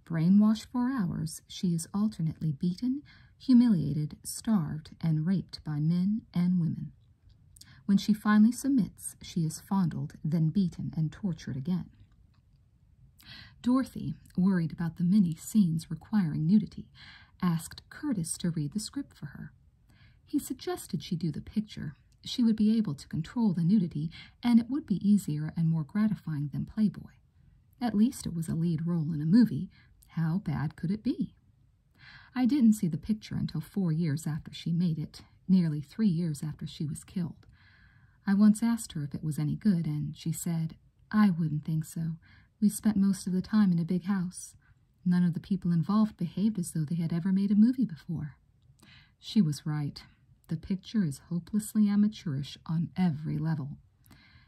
Brainwashed for hours, she is alternately beaten, humiliated, starved, and raped by men and women. When she finally submits, she is fondled, then beaten and tortured again. Dorothy, worried about the many scenes requiring nudity, asked Curtis to read the script for her. He suggested she do the picture. She would be able to control the nudity, and it would be easier and more gratifying than Playboy. At least it was a lead role in a movie. How bad could it be? I didn't see the picture until four years after she made it, nearly three years after she was killed. I once asked her if it was any good, and she said, I wouldn't think so. We spent most of the time in a big house. None of the people involved behaved as though they had ever made a movie before. She was right. The picture is hopelessly amateurish on every level.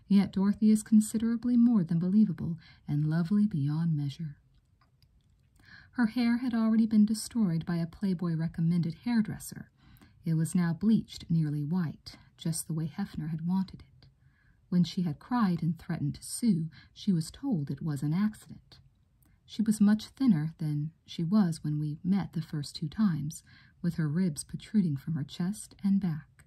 Yet Dorothy is considerably more than believable and lovely beyond measure. Her hair had already been destroyed by a Playboy recommended hairdresser, it was now bleached nearly white, just the way Hefner had wanted it. When she had cried and threatened to sue, she was told it was an accident. She was much thinner than she was when we met the first two times, with her ribs protruding from her chest and back.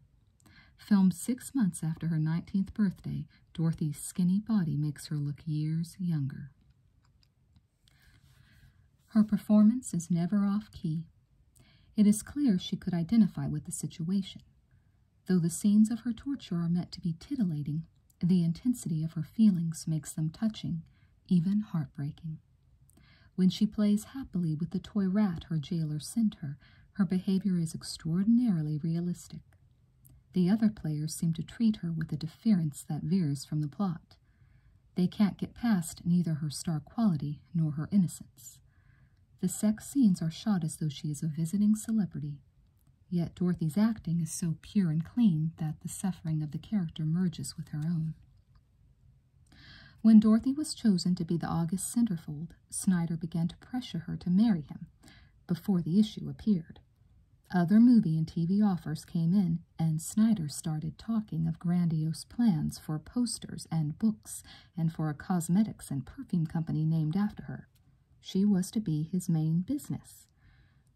Filmed six months after her 19th birthday, Dorothy's skinny body makes her look years younger. Her performance is never off key. It is clear she could identify with the situation. Though the scenes of her torture are meant to be titillating, the intensity of her feelings makes them touching, even heartbreaking. When she plays happily with the toy rat her jailer sent her, her behavior is extraordinarily realistic. The other players seem to treat her with a deference that veers from the plot. They can't get past neither her star quality nor her innocence. The sex scenes are shot as though she is a visiting celebrity, yet Dorothy's acting is so pure and clean that the suffering of the character merges with her own. When Dorothy was chosen to be the August centerfold, Snyder began to pressure her to marry him before the issue appeared. Other movie and TV offers came in, and Snyder started talking of grandiose plans for posters and books and for a cosmetics and perfume company named after her. She was to be his main business.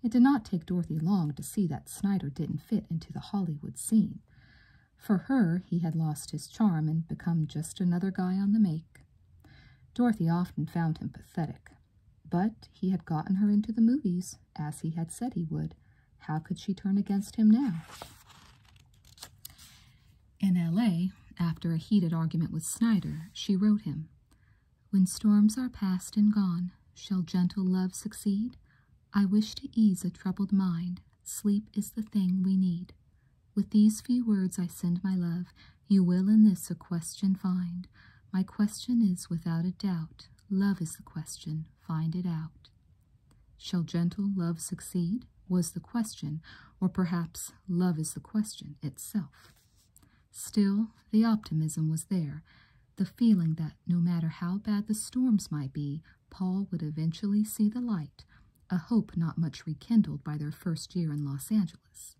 It did not take Dorothy long to see that Snyder didn't fit into the Hollywood scene. For her, he had lost his charm and become just another guy on the make. Dorothy often found him pathetic, but he had gotten her into the movies, as he had said he would, how could she turn against him now? In L.A., after a heated argument with Snyder, she wrote him, When storms are past and gone, shall gentle love succeed? I wish to ease a troubled mind. Sleep is the thing we need. With these few words I send my love. You will in this a question find. My question is without a doubt. Love is the question. Find it out. Shall gentle love succeed? was the question, or perhaps love is the question itself. Still, the optimism was there, the feeling that no matter how bad the storms might be, Paul would eventually see the light, a hope not much rekindled by their first year in Los Angeles.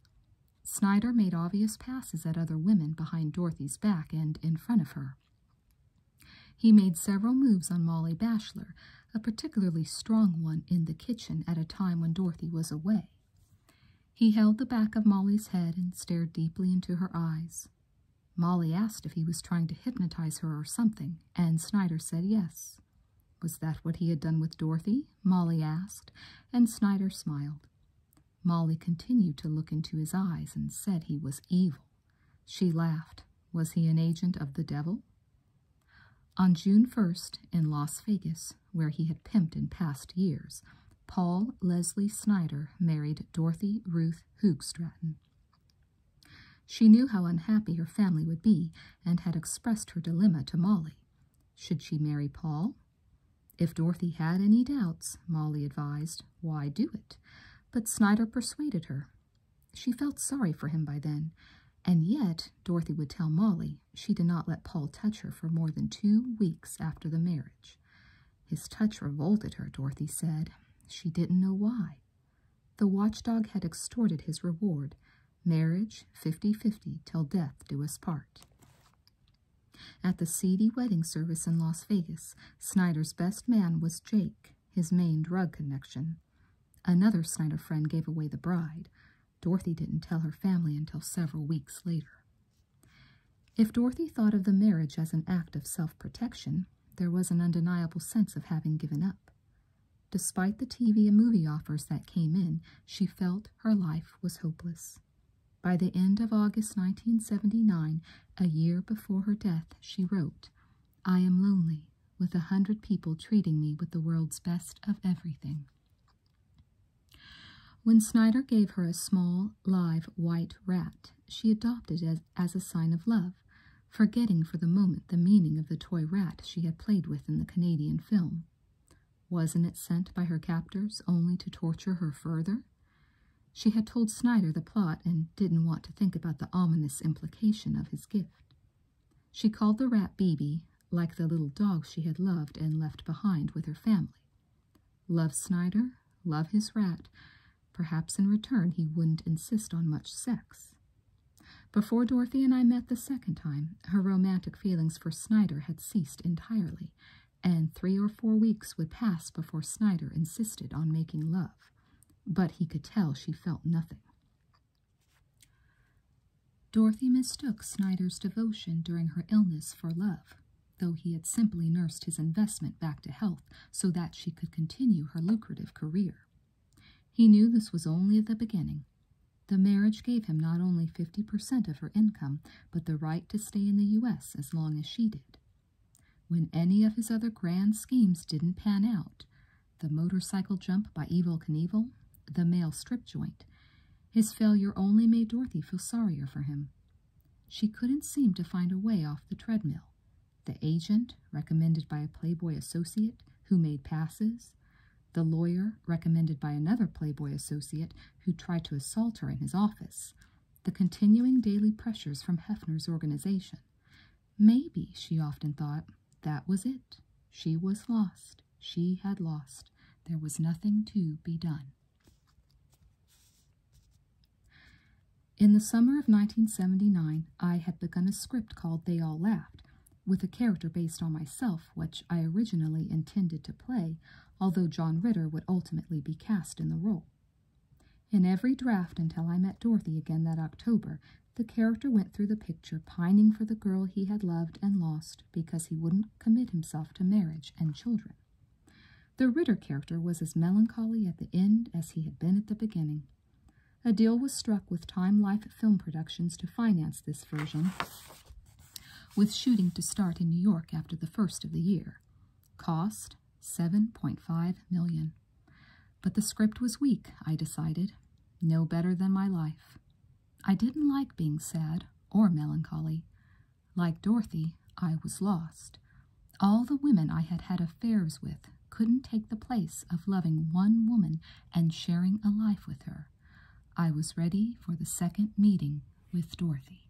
Snyder made obvious passes at other women behind Dorothy's back and in front of her. He made several moves on Molly Bachelor, a particularly strong one in the kitchen at a time when Dorothy was away. He held the back of Molly's head and stared deeply into her eyes. Molly asked if he was trying to hypnotize her or something, and Snyder said yes. Was that what he had done with Dorothy? Molly asked, and Snyder smiled. Molly continued to look into his eyes and said he was evil. She laughed. Was he an agent of the devil? On June 1st, in Las Vegas, where he had pimped in past years, Paul Leslie Snyder married Dorothy Ruth Hoogstraten. She knew how unhappy her family would be and had expressed her dilemma to Molly. Should she marry Paul? If Dorothy had any doubts, Molly advised, why do it? but Snyder persuaded her. She felt sorry for him by then, and yet Dorothy would tell Molly she did not let Paul touch her for more than two weeks after the marriage. His touch revolted her, Dorothy said. She didn't know why. The watchdog had extorted his reward, marriage fifty-fifty till death do us part. At the seedy wedding service in Las Vegas, Snyder's best man was Jake, his main drug connection. Another Snyder friend gave away the bride. Dorothy didn't tell her family until several weeks later. If Dorothy thought of the marriage as an act of self protection, there was an undeniable sense of having given up. Despite the TV and movie offers that came in, she felt her life was hopeless. By the end of August 1979, a year before her death, she wrote, I am lonely, with a hundred people treating me with the world's best of everything. When Snyder gave her a small, live white rat, she adopted it as, a sign of love, forgetting for the moment the meaning of the toy rat she had played with in the Canadian film. Wasn't it sent by her captors only to torture her further? She had told Snyder the plot and didn't want to think about the ominous implication of his gift. She called the rat BB, like the little dog she had loved and left behind with her family. Love Snyder, love his rat. Perhaps in return he wouldn't insist on much sex. Before Dorothy and I met the second time, her romantic feelings for Snyder had ceased entirely, and three or four weeks would pass before Snyder insisted on making love, but he could tell she felt nothing. Dorothy mistook Snyder's devotion during her illness for love, though he had simply nursed his investment back to health so that she could continue her lucrative career. He knew this was only the beginning. The marriage gave him not only 50% of her income, but the right to stay in the U.S. as long as she did. When any of his other grand schemes didn't pan out the motorcycle jump by Evil Knievel, the male strip joint his failure only made Dorothy feel sorrier for him. She couldn't seem to find a way off the treadmill. The agent, recommended by a Playboy associate who made passes, the lawyer, recommended by another Playboy associate who tried to assault her in his office, the continuing daily pressures from Hefner's organization, Maybe, she often thought, that was it. She was lost. She had lost. There was nothing to be done. In the summer of 1979, I had begun a script called They All Laughed, with a character based on myself, which I originally intended to play, although John Ritter would ultimately be cast in the role. In every draft until I met Dorothy again that October, the character went through the picture pining for the girl he had loved and lost because he wouldn't commit himself to marriage and children. The Ritter character was as melancholy at the end as he had been at the beginning. A deal was struck with Time Life Film Productions to finance this version, with shooting to start in New York after the first of the year. Cost 7.5 million. But the script was weak, I decided. No better than my life. I didn't like being sad or melancholy. Like Dorothy, I was lost. All the women I had had affairs with couldn't take the place of loving one woman and sharing a life with her. I was ready for the second meeting with Dorothy.